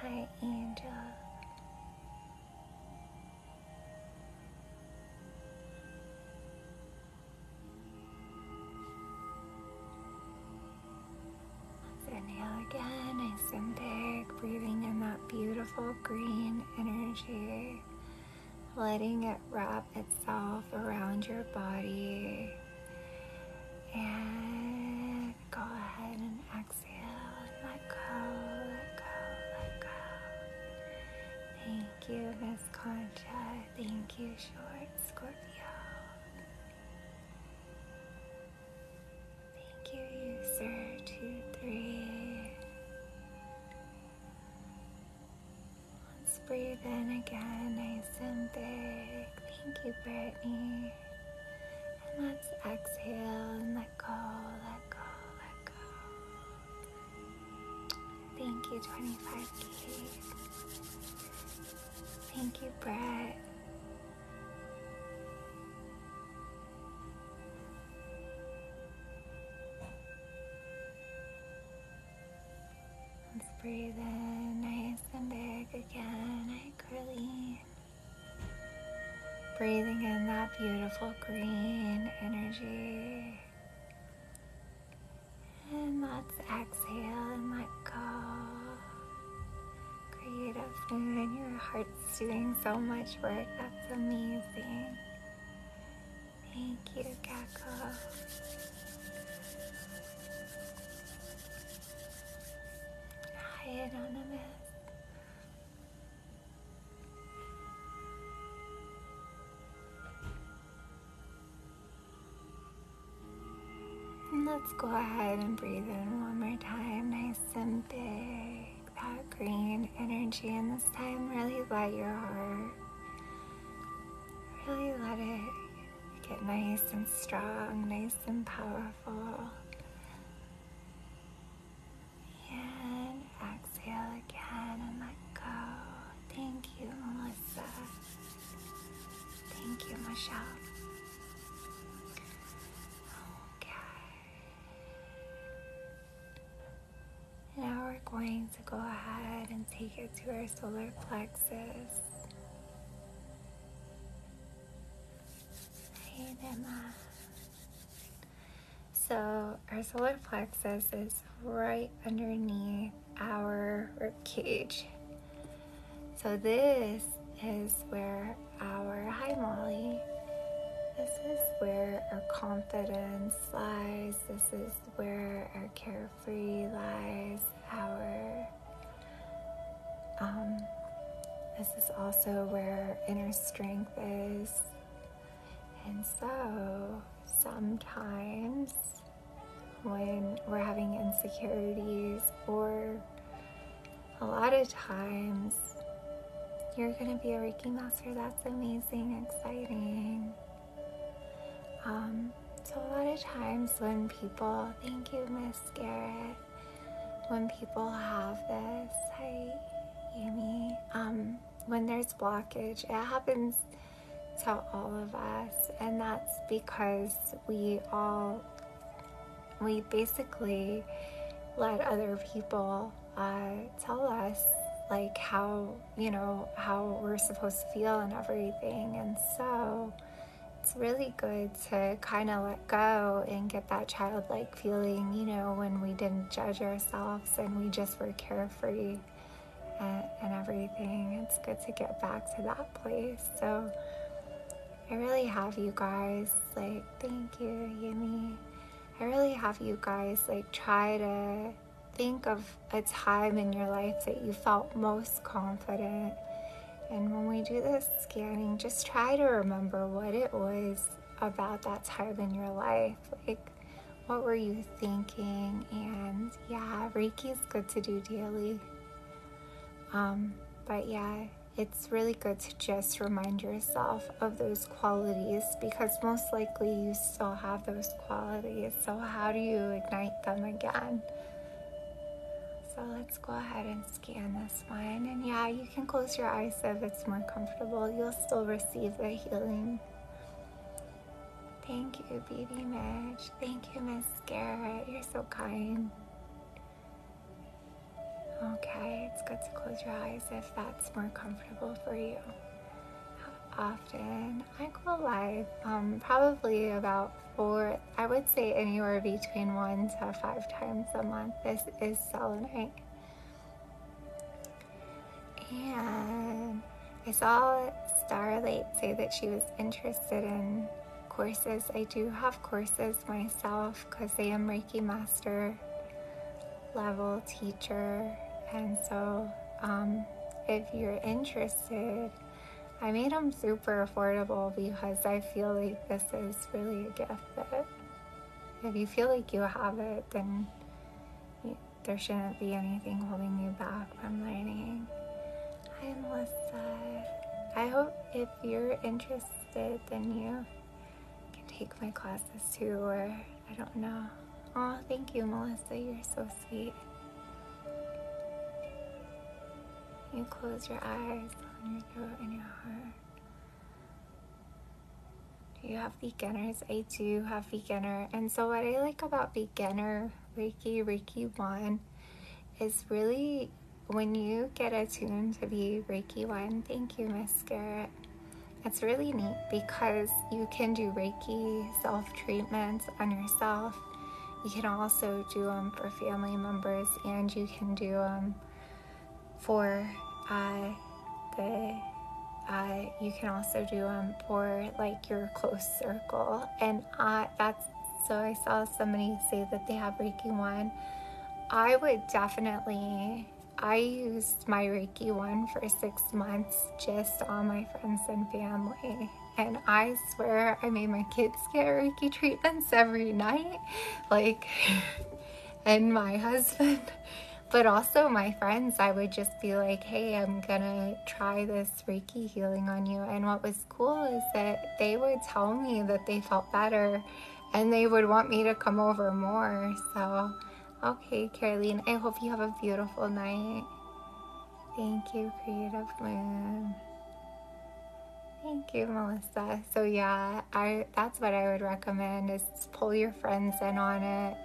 Hi, Angel. Let's again, nice and big, breathing in that beautiful green energy, letting it wrap itself around your body. And go ahead and exhale and let go, let go, let go. Thank you, Miss Conchita. Thank you, Short Scorpio. Thank you, sir. two three. Let's breathe in again, nice and big. Thank you, Brittany. And let's exhale and let go, let go, let go. Thank you, 25K. Thank you, Brett. Let's breathe in nice and big again and Breathing in that beautiful green energy. And let's exhale and let go creative and your heart's doing so much work. That's amazing. Thank you, Gecko. Hi, Anonymous. let's go ahead and breathe in one more time nice and big. That green energy, and this time really let your heart really let it get nice and strong, nice and powerful. And exhale again and let go. Thank you, Melissa. Thank you, Michelle. Okay. Now we're going to go ahead and take it to our solar plexus. Hey, Emma. So our solar plexus is right underneath our rib cage. So this is where our hi Molly. This is where our confidence lies. This is where our carefree lies. Our um, this is also where inner strength is. And so sometimes when we're having insecurities or a lot of times you're going to be a Reiki master. That's amazing, exciting. Um, so, a lot of times when people, thank you, Miss Garrett, when people have this, hi, Yumi, when there's blockage, it happens to all of us, and that's because we all we basically let other people uh, tell us like how you know how we're supposed to feel and everything and so it's really good to kind of let go and get that childlike feeling you know when we didn't judge ourselves and we just were carefree uh, and everything it's good to get back to that place so i really have you guys like thank you yumi i really have you guys like try to think of a time in your life that you felt most confident and when we do this scanning just try to remember what it was about that time in your life like what were you thinking and yeah Reiki is good to do daily um but yeah it's really good to just remind yourself of those qualities because most likely you still have those qualities. So, how do you ignite them again? So, let's go ahead and scan this one. And yeah, you can close your eyes if it's more comfortable. You'll still receive the healing. Thank you, BB Midge. Thank you, Miss Garrett. You're so kind. Okay, it's good to close your eyes if that's more comfortable for you. How often? I go live um, probably about four, I would say anywhere between one to five times a month. This is selenite. And I saw Starlight say that she was interested in courses. I do have courses myself because I am Reiki Master level teacher. And so, um, if you're interested, I made them super affordable because I feel like this is really a gift if you feel like you have it, then there shouldn't be anything holding you back from learning. Hi, Melissa. I hope if you're interested, then you can take my classes too, or I don't know. Oh, thank you, Melissa. You're so sweet. You close your eyes on your throat and your heart. you have beginners? I do have beginner. And so what I like about beginner Reiki, Reiki 1 is really when you get attuned to be Reiki 1, thank you, Miss Garrett. It's really neat because you can do Reiki self treatments on yourself. You can also do them for family members and you can do them for uh, the uh, you can also do them for like your close circle and uh, that's so i saw somebody say that they have reiki one I would definitely, I used my Reiki one for six months just on my friends and family. And I swear I made my kids get Reiki treatments every night, like, and my husband. But also my friends, I would just be like, hey, I'm gonna try this Reiki healing on you. And what was cool is that they would tell me that they felt better and they would want me to come over more. So, okay, Caroline, I hope you have a beautiful night. Thank you, Creative Moon. Thank you, Melissa. So yeah, I that's what I would recommend is pull your friends in on it.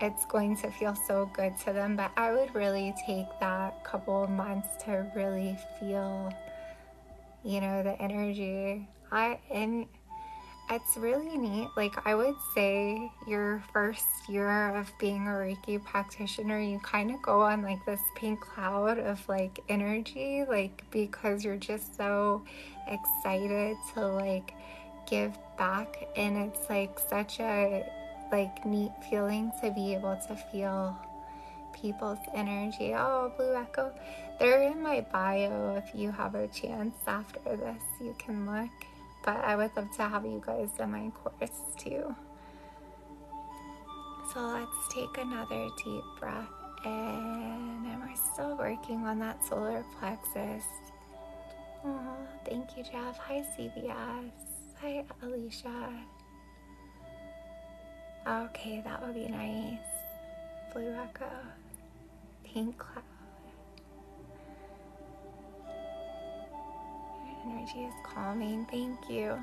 It's going to feel so good to them, but I would really take that couple months to really feel, you know, the energy I and it's really neat. Like I would say your first year of being a Reiki practitioner, you kind of go on like this pink cloud of like energy, like because you're just so excited to like give back and it's like such a like neat feeling to be able to feel people's energy. Oh, blue echo they're in my bio if you have a chance after this, you can look. But I would love to have you guys in my course too. So let's take another deep breath and we're still working on that solar plexus. Oh, thank you, Jeff. Hi, CBS. Hi, Alicia. Okay, that would be nice. Blue Echo pink cloud. Your energy is calming. Thank you.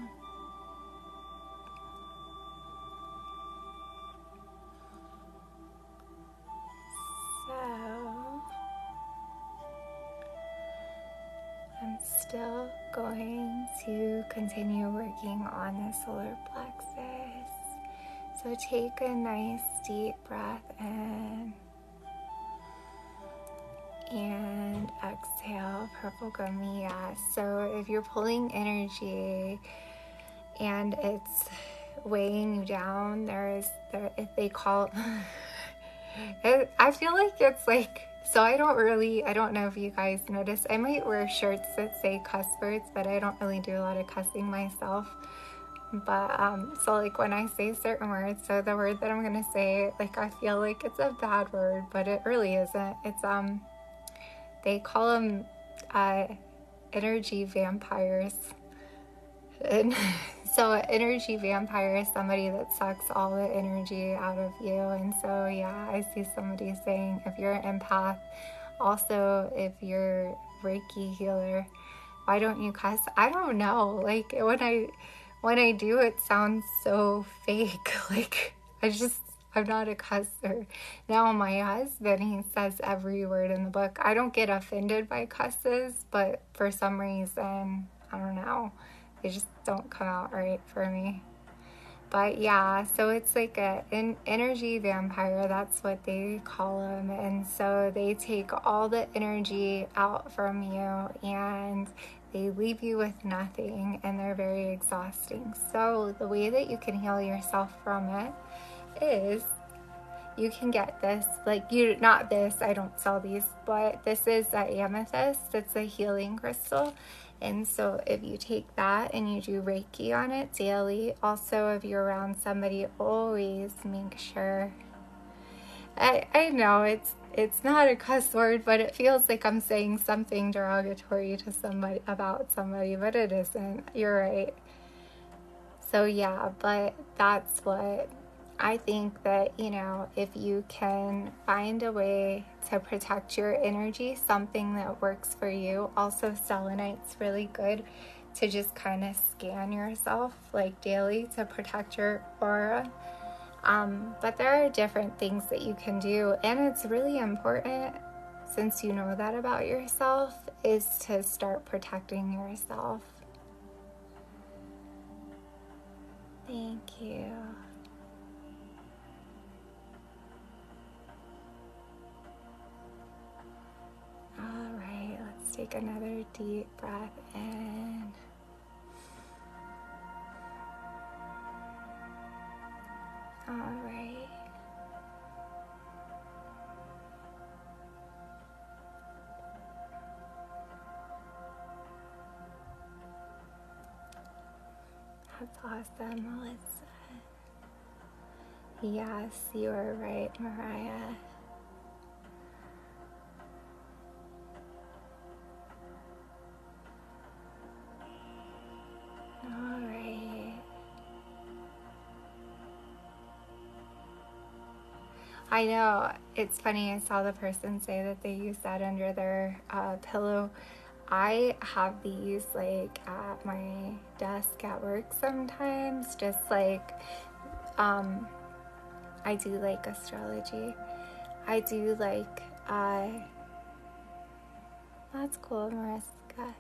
So I'm still going to continue working on the solar plexus. So take a nice deep breath in and exhale, purple gummiya. So if you're pulling energy and it's weighing you down, there is if they call it, I feel like it's like so I don't really I don't know if you guys notice I might wear shirts that say cuss but I don't really do a lot of cussing myself. But um, so, like, when I say certain words, so the word that I'm gonna say, like, I feel like it's a bad word, but it really isn't. It's, um, they call them uh, energy vampires. so, energy vampire is somebody that sucks all the energy out of you. And so, yeah, I see somebody saying, if you're an empath, also, if you're Reiki healer, why don't you cuss? I don't know. Like when I when I do it sounds so fake. Like I just I'm not a cusser. Now my husband, he says every word in the book. I don't get offended by cusses, but for some reason, I don't know. They just don't come out right for me. But yeah, so it's like an energy vampire. That's what they call them. And so they take all the energy out from you and they leave you with nothing and they're very exhausting. So, the way that you can heal yourself from it is you can get this, like, you not this, I don't sell these, but this is a amethyst, it's a healing crystal. And so, if you take that and you do Reiki on it daily, also. So, if you're around somebody always make sure I, I know it's it's not a cuss word, but it feels like I'm saying something derogatory to somebody about somebody, but it isn't. You're right. So yeah, but that's what I think that, you know, if you can find a way to protect your energy, something that works for you. Also selenite it's really good to just kind of scan yourself like daily to protect your aura. Um, but there are different things that you can do, and it's really important since you know that about yourself is to start protecting yourself. Thank you. All right, let's take another deep breath And All right. That's awesome, Melissa. Yes, you are right, Mariah. All right. I know it's funny. I saw the person say that they use that under their uh, pillow. I have these like at my desk at work sometimes, just like um, I do like astrology. I do like, I. Uh, that's cool, Mariska.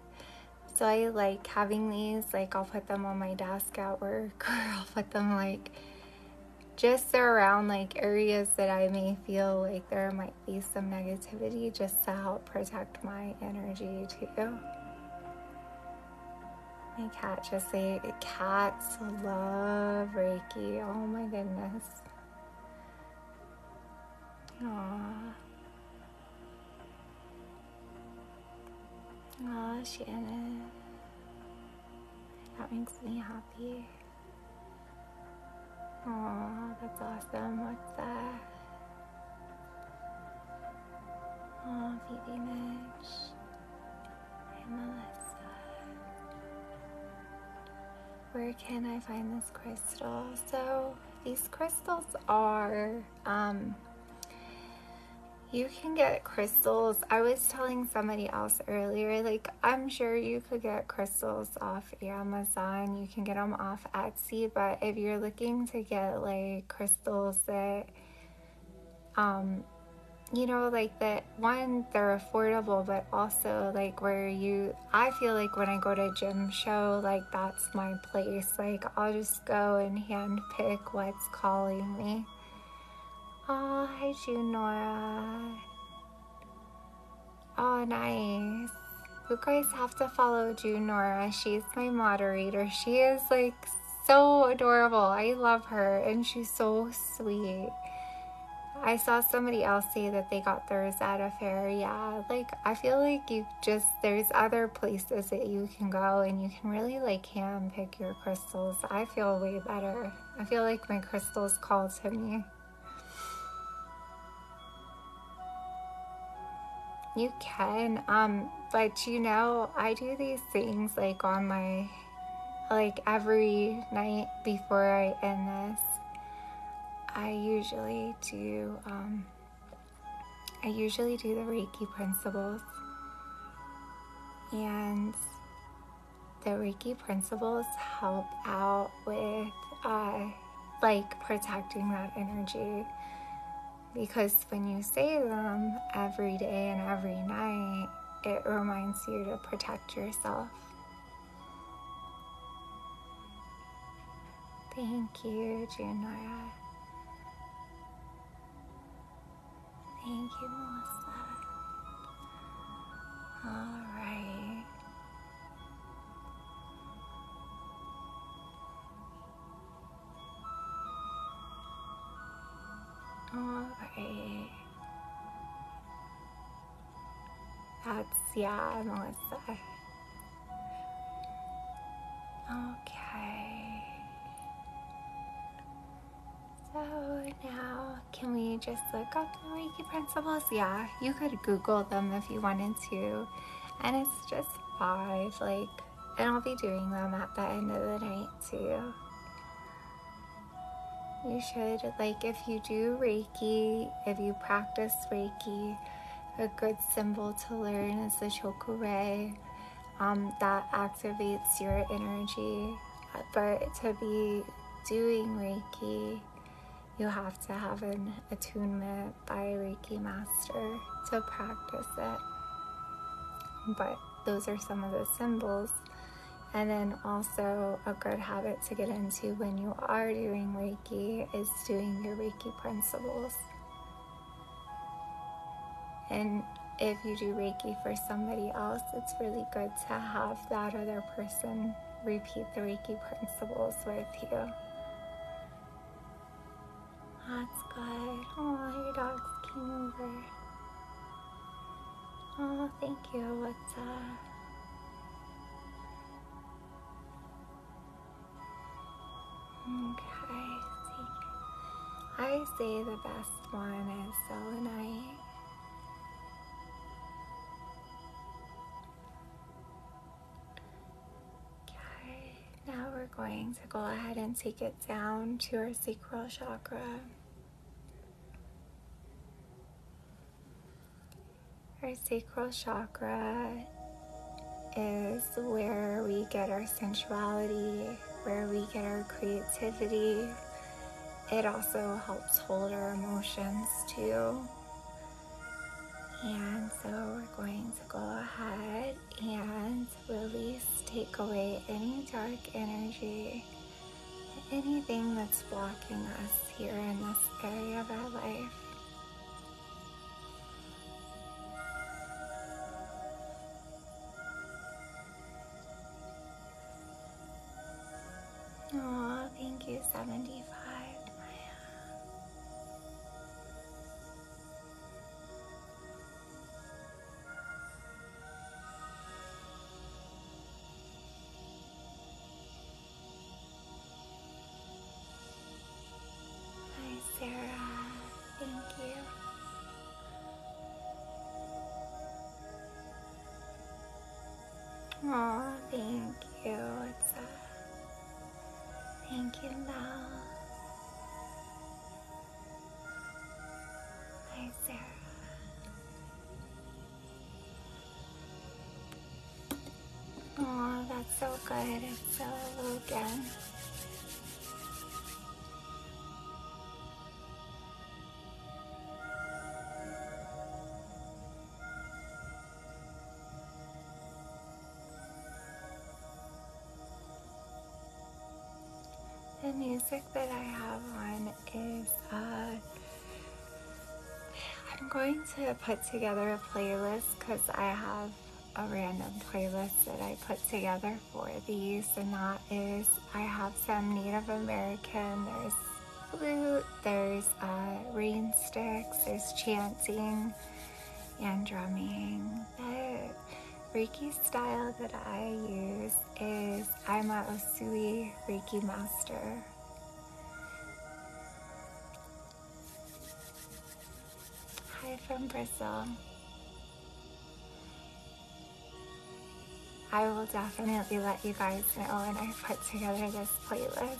So I like having these, like I'll put them on my desk at work or I'll put them like just around like areas that I may feel like there might be some negativity just out protect my energy too. My cat just say cats love Reiki. Oh my goodness. Aww. Aw, Shannon. That makes me happy. Aw, that's awesome. What's that? of Image and Melissa. Where can I find this crystal? So these crystals are um, you can get crystals. I was telling somebody else earlier, like, I'm sure you could get crystals off Amazon. You can get them off Etsy, but if you're looking to get, like, crystals, crystals that um you know like that one they're affordable but also like where you i feel like when i go to gym show like that's my place like i'll just go and hand pick what's calling me oh hi June nora oh nice you guys have to follow June Nora. She's my moderator. She is like so adorable. I love her and she's so sweet. I saw somebody else say that they got theirs at a fair. Yeah, like I feel like you just there's other places that you can go and you can really like hand pick your crystals. I feel way better. I feel like my crystals call to me. You can, um, but you know, I do these things like on my, like every night before I end this, I usually do, um, I usually do the Reiki principles. And the Reiki principles help out with, uh, like protecting that energy because when you say them um, every day and every night, it reminds you to protect yourself. Thank you, Junora. Thank you, Melissa. All right. Oh, okay. That's, yeah, Melissa. Okay. So now, can we just look up the Reiki principles? Yeah, you could Google them if you wanted to. And it's just five, like, and I'll be doing them at the end of the night too. You should, like, if you do Reiki, if you practice Reiki, a good symbol to learn is the chakra ray, um, that activates your energy. But to be doing Reiki, you have to have an attunement by Reiki master to practice it. But those are some of the symbols. And then also, a good habit to get into when you are doing Reiki is doing your Reiki principles. And if you do Reiki for somebody else, it's really good to have that other person repeat the Reiki principles with you. That's good. Oh, your dogs came over. Oh, thank you. What's up? Okay, I see the best one is selenite. Okay, now we're going to go ahead and take it down to our sacral chakra. Our sacral chakra is where we get our sensuality, where we get our creativity. It also helps hold our emotions too. And so we're going to go ahead and release, take away any dark energy, anything that's blocking us here in this area of our life. Oh, thank you, 75. Hi, Sarah. Thank you. Oh, thank you. It's a uh, thank you, love. Hi, Sarah. Oh, that's so good. It's so Logan. The music that I have on is, uh, I'm going to put together a playlist because I have a random playlist that I put together for these and that is I have some Native American, there's flute, there's uh, rainsticks, there's chanting, and drumming. The Reiki style that I use is I'm a Osui Reiki master. Hi from Bristol. I will definitely let you guys know when I put together this playlist.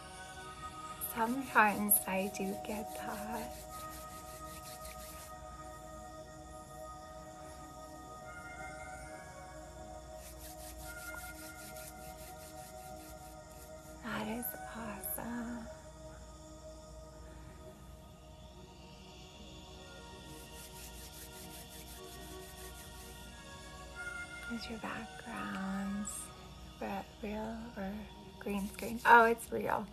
Sometimes I do get that. That is awesome. There's your backgrounds, real or green screen? Oh, it's real.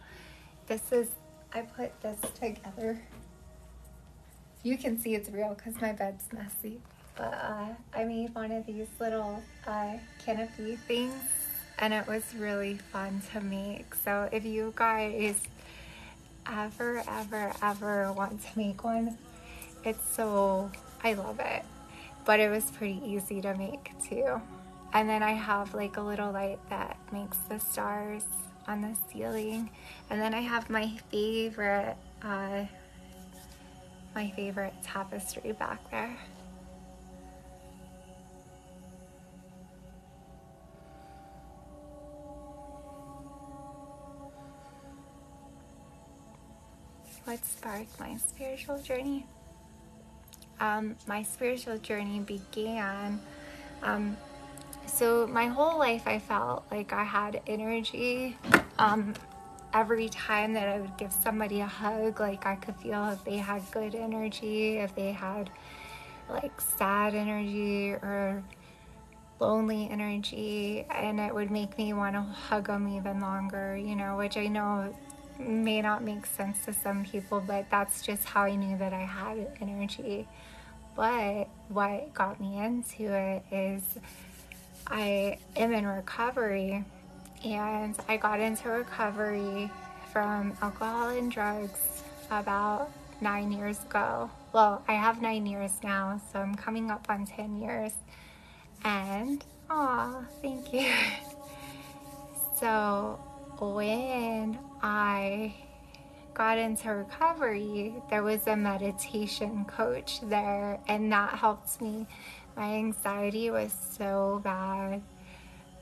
This is, I put this together. You can see it's real because my bed's messy. But uh, I made one of these little uh, canopy things and it was really fun to make. So if you guys ever, ever, ever want to make one, it's so, I love it but it was pretty easy to make too. And then I have like a little light that makes the stars on the ceiling. And then I have my favorite, uh, my favorite tapestry back there. What sparked my spiritual journey? um, my spiritual journey began. Um, so my whole life I felt like I had energy. Um, every time that I would give somebody a hug, like I could feel if they had good energy, if they had like sad energy or lonely energy and it would make me want to hug them even longer you know which i know may not make sense to some people, but that's just how I knew that I had energy. But what got me into it is I am in recovery and I got into recovery from alcohol and drugs about nine years ago. Well, I have nine years now, so I'm coming up on 10 years. And Aw, thank you. So when I got into recovery, there was a meditation coach there, and that helped me. My anxiety was so bad.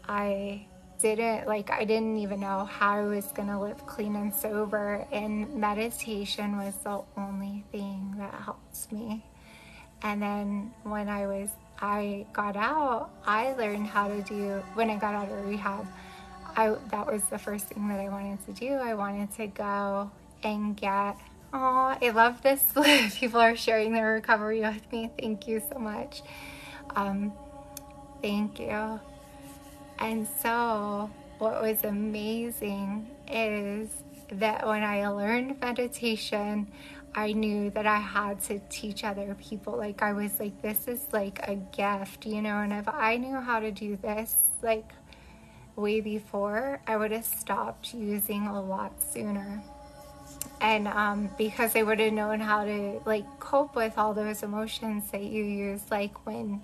I didn't like, I didn't even know how I was gonna live clean and sober, and meditation was the only thing that helped me. And then when I was, I got out, I learned how to do, when I got out of rehab, I, that was the first thing that I wanted to do. I wanted to go and get, oh, I love this. People are sharing their recovery with me. Thank you so much. Um, thank you. And so what was amazing is that when I learned meditation, I knew that I had to teach other people. Like I was like, this is like a gift, you know, and if I knew how to do this, like way before, I would have stopped using a lot sooner. And um, because I would have known how to like cope with all those emotions that you use, like when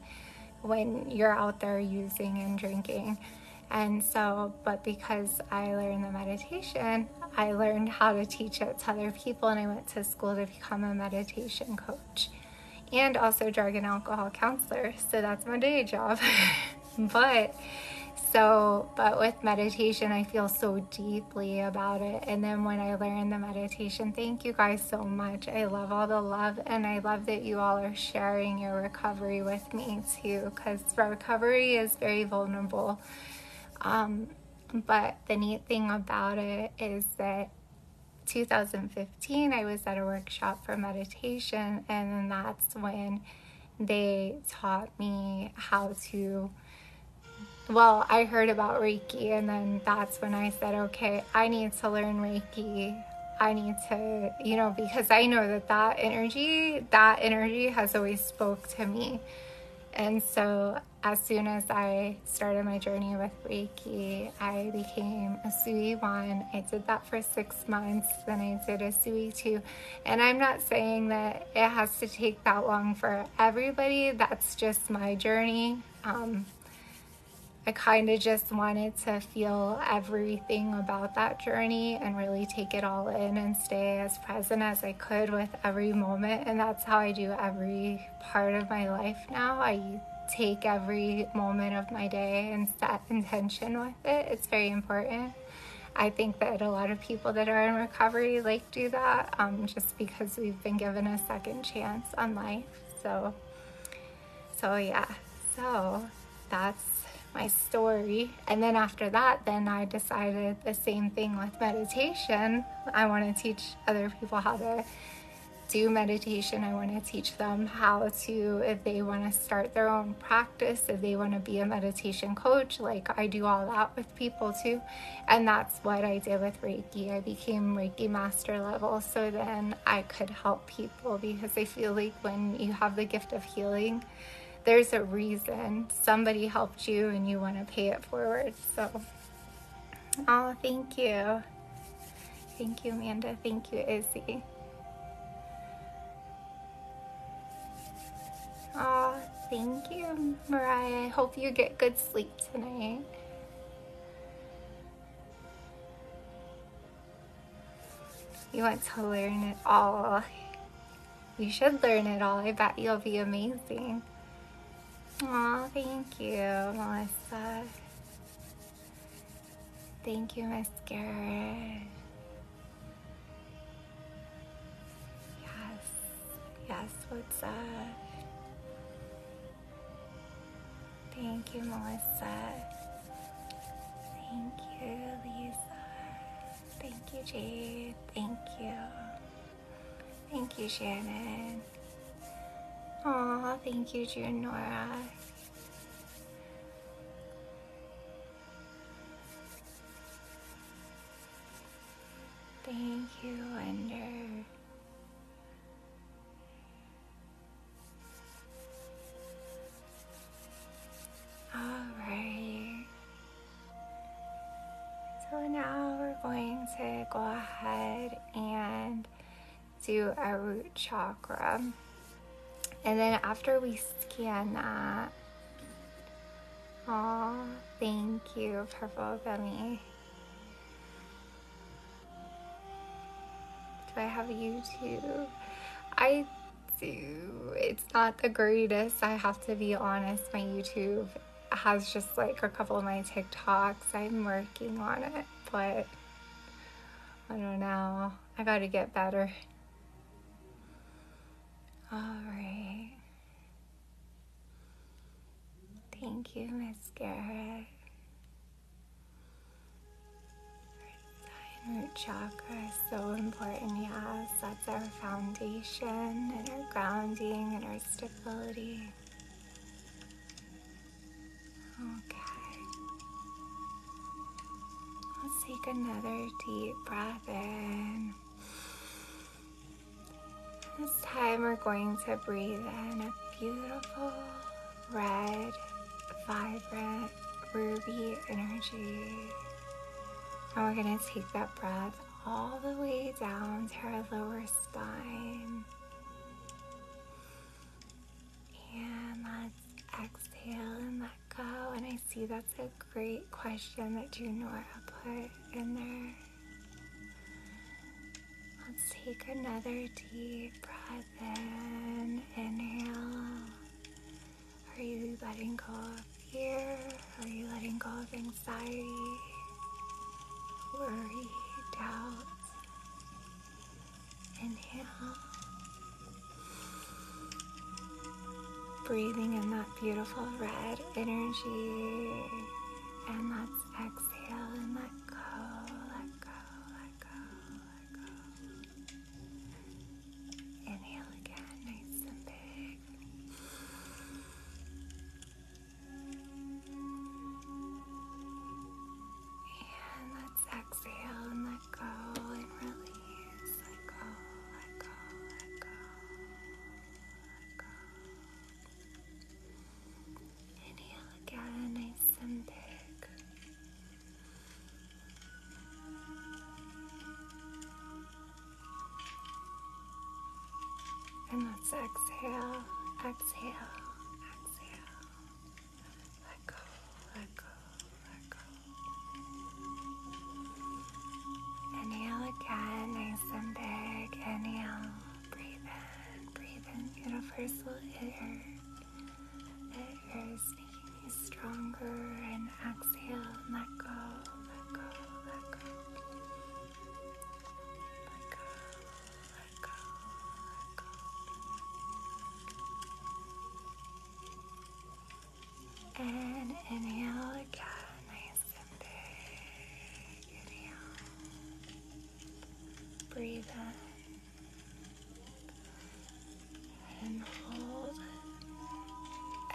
when you're out there using and drinking. And so, but because I learned the meditation, I learned how to teach it to other people, and I went to school to become a meditation coach and also drug and alcohol counselor. So that's my day job. but so, but with meditation, I feel so deeply about it. And then when I learned the meditation, thank you guys so much. I love all the love, and I love that you all are sharing your recovery with me too, because recovery is very vulnerable. Um, but the neat thing about it is that 2015 I was at a workshop for meditation and that's when they taught me how to well, I heard about Reiki, and then that's when I said, okay, I need to learn Reiki. I need to, you know, because I know that that energy, that energy has always spoke to me. And so, as soon as I started my journey with Reiki, I became a Sui 1. I did that for six months, then I did a Sui 2. And I'm not saying that it has to take that long for everybody, that's just my journey. Um, I kind of just wanted to feel everything about that journey and really take it all in. And stay as present as I could with every moment. And that's how I do every part of my life now. I take every moment of my day and set intention with it. It's very important. I think that a lot of people that are in recovery like do that um, just because we've been given a second chance on life. So, so yeah, so that's my story. And then after that, then I decided the same thing with meditation. I want to teach other people how to do meditation. I want to teach them how to, if they want to start their own practice, if they want to be a meditation coach, like I do all that with people too. And that's what I did with Reiki. I became Reiki master level so then I could help people because I feel like when you have the gift of healing, there's a reason somebody helped you and you want to pay it forward. So, oh, thank you. Thank you, Amanda. Thank you, Izzy. Oh, thank you, Mariah. I hope you get good sleep tonight. You want to learn it all. You should learn it all. I bet you'll be amazing. Aw, thank you, Melissa. Thank you, Miss Garrett. Yes, yes, what's Thank you, Melissa. Thank you, Lisa. Thank you, Jade. Thank you. Thank you, Shannon. Aw, thank you, June Nora. Thank you, Wonder. All right. So now we're going to go ahead and do a root chakra. And then after we scan that, oh, thank you, Purple Bunny. Do I have YouTube? I do. It's not the greatest, I have to be honest. My YouTube has just like a couple of my TikToks. I'm working on it, but I don't know. I gotta get better. Alright. Thank you, Miss Garrett. root chakra is so important, yes. That's our foundation and our grounding and our stability. Okay. Let's take another deep breath in. This time we're going to breathe in a beautiful red, vibrant, ruby energy. And we're going to take that breath all the way down to her lower spine. And let's exhale and let go. And I see that's a great question that Junora put in there. Let's take another deep breath in. Inhale. Are you letting go here? Are you letting go of anxiety, worry, doubt? Inhale. Breathing in that beautiful red energy. And let's exhale and let go, let go, let go, let go. Inhale again, nice and big. And let's exhale and let go and release. Let go, let go, let go, let go. Inhale again, nice and big. And let's exhale, exhale, exhale. Let go, let go, let go. Inhale again, nice and big. Inhale, breathe in, breathe in. Universal air. Air is making you stronger. And exhale, let go, let go, let go. Let go, let go, let go. And inhale again, nice and big. Inhale. Breathe in and hold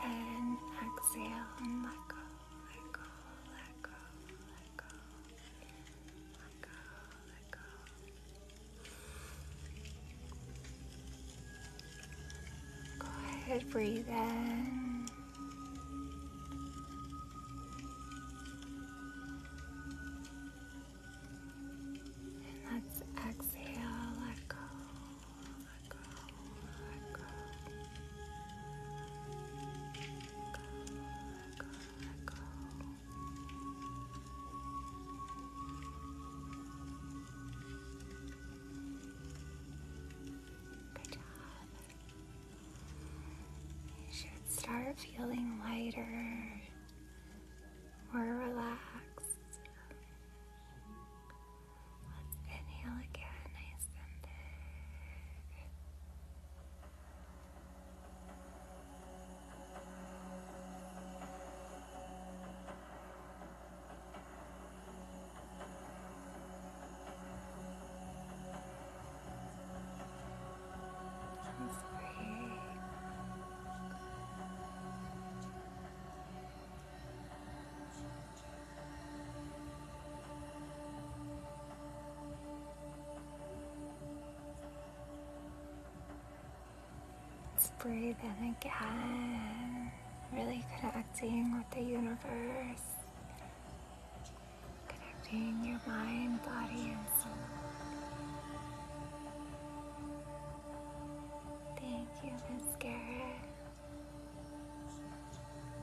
and exhale and let go let go, let go, let go, let go, let go. Go ahead, breathe in. And let's exhale, let go, let go, let go. Let go, let go, Good job. You should start feeling lighter, or relaxed. inhale again, nice just breathe. Let's breathe in again. Really connecting with the universe. Connecting your mind, body, and soul. Thank you, Miss Garrett.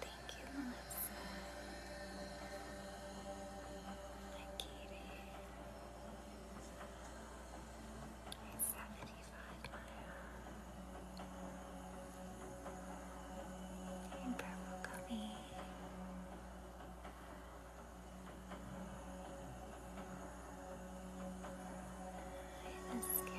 Thank you, Melissa. Hi, Katie. Hey, 75 Maya. Hey, Purple Gummy. This carrot. Let's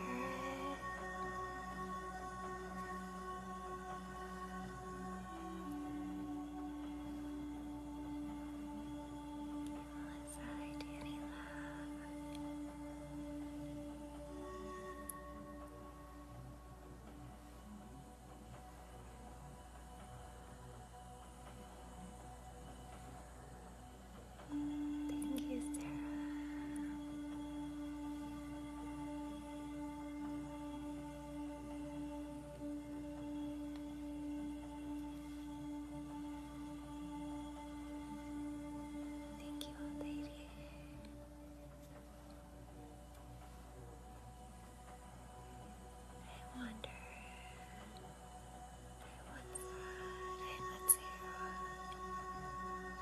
I do any love. Thank you, Sarah. Thank you, old lady. I wonder what's that in the two? I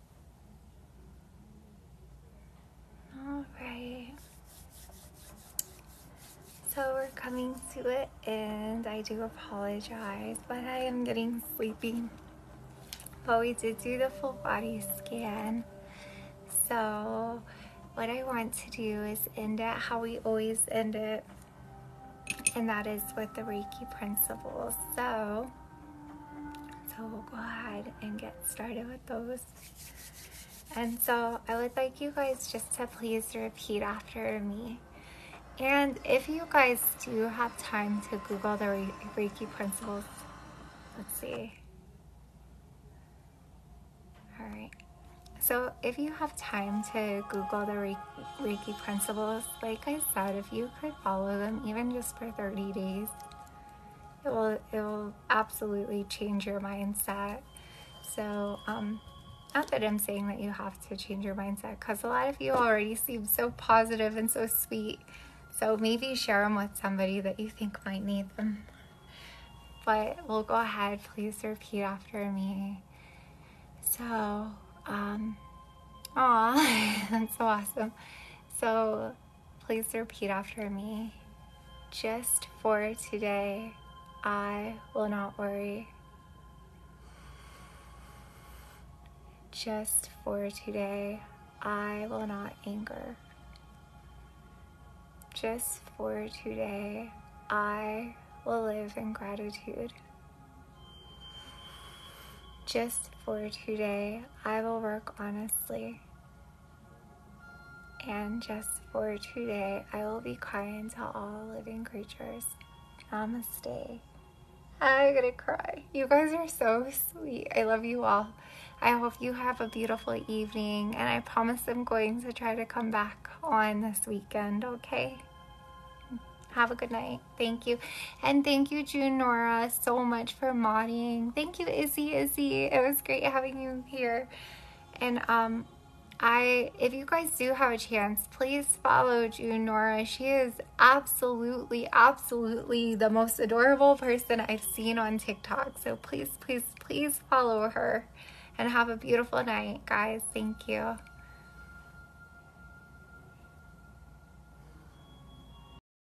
All right. So we're coming to it, and I do apologize, but I am getting sleepy. But we did do the full body scan. So what I want to do is end it how we always end it, and that is with the Reiki principles. So so we'll go ahead and get started with those. And so I would like you guys just to please repeat after me. And if you guys do have time to Google the Reiki principles, let's see. All right. So if you have time to Google the Reiki principles, like I said, if you could follow them even just for 30 days, it will it will absolutely change your mindset so um not that i'm saying that you have to change your mindset because a lot of you already seem so positive and so sweet so maybe share them with somebody that you think might need them but we'll go ahead please repeat after me so um aw that's so awesome so Please repeat after me. Just for today, I will not worry. Just for today, I will not anger. Just for today, I will live in gratitude. Just for today, I will work honestly. And just for today, I will be crying to all living creatures. Namaste. I'm gonna cry. You guys are so sweet. I love you all. I hope you have a beautiful evening, and I promise I'm going to try to come back on this weekend, okay? Have a good night. Thank you. And thank you, June Nora so much for modding. Thank you, Izzy, Izzy. It was great having you here. And um, I, if you guys do have a chance, please follow June Nora. She is absolutely, absolutely the most adorable person I've seen on TikTok. So please, please, please follow her and have a beautiful night, guys. Thank you.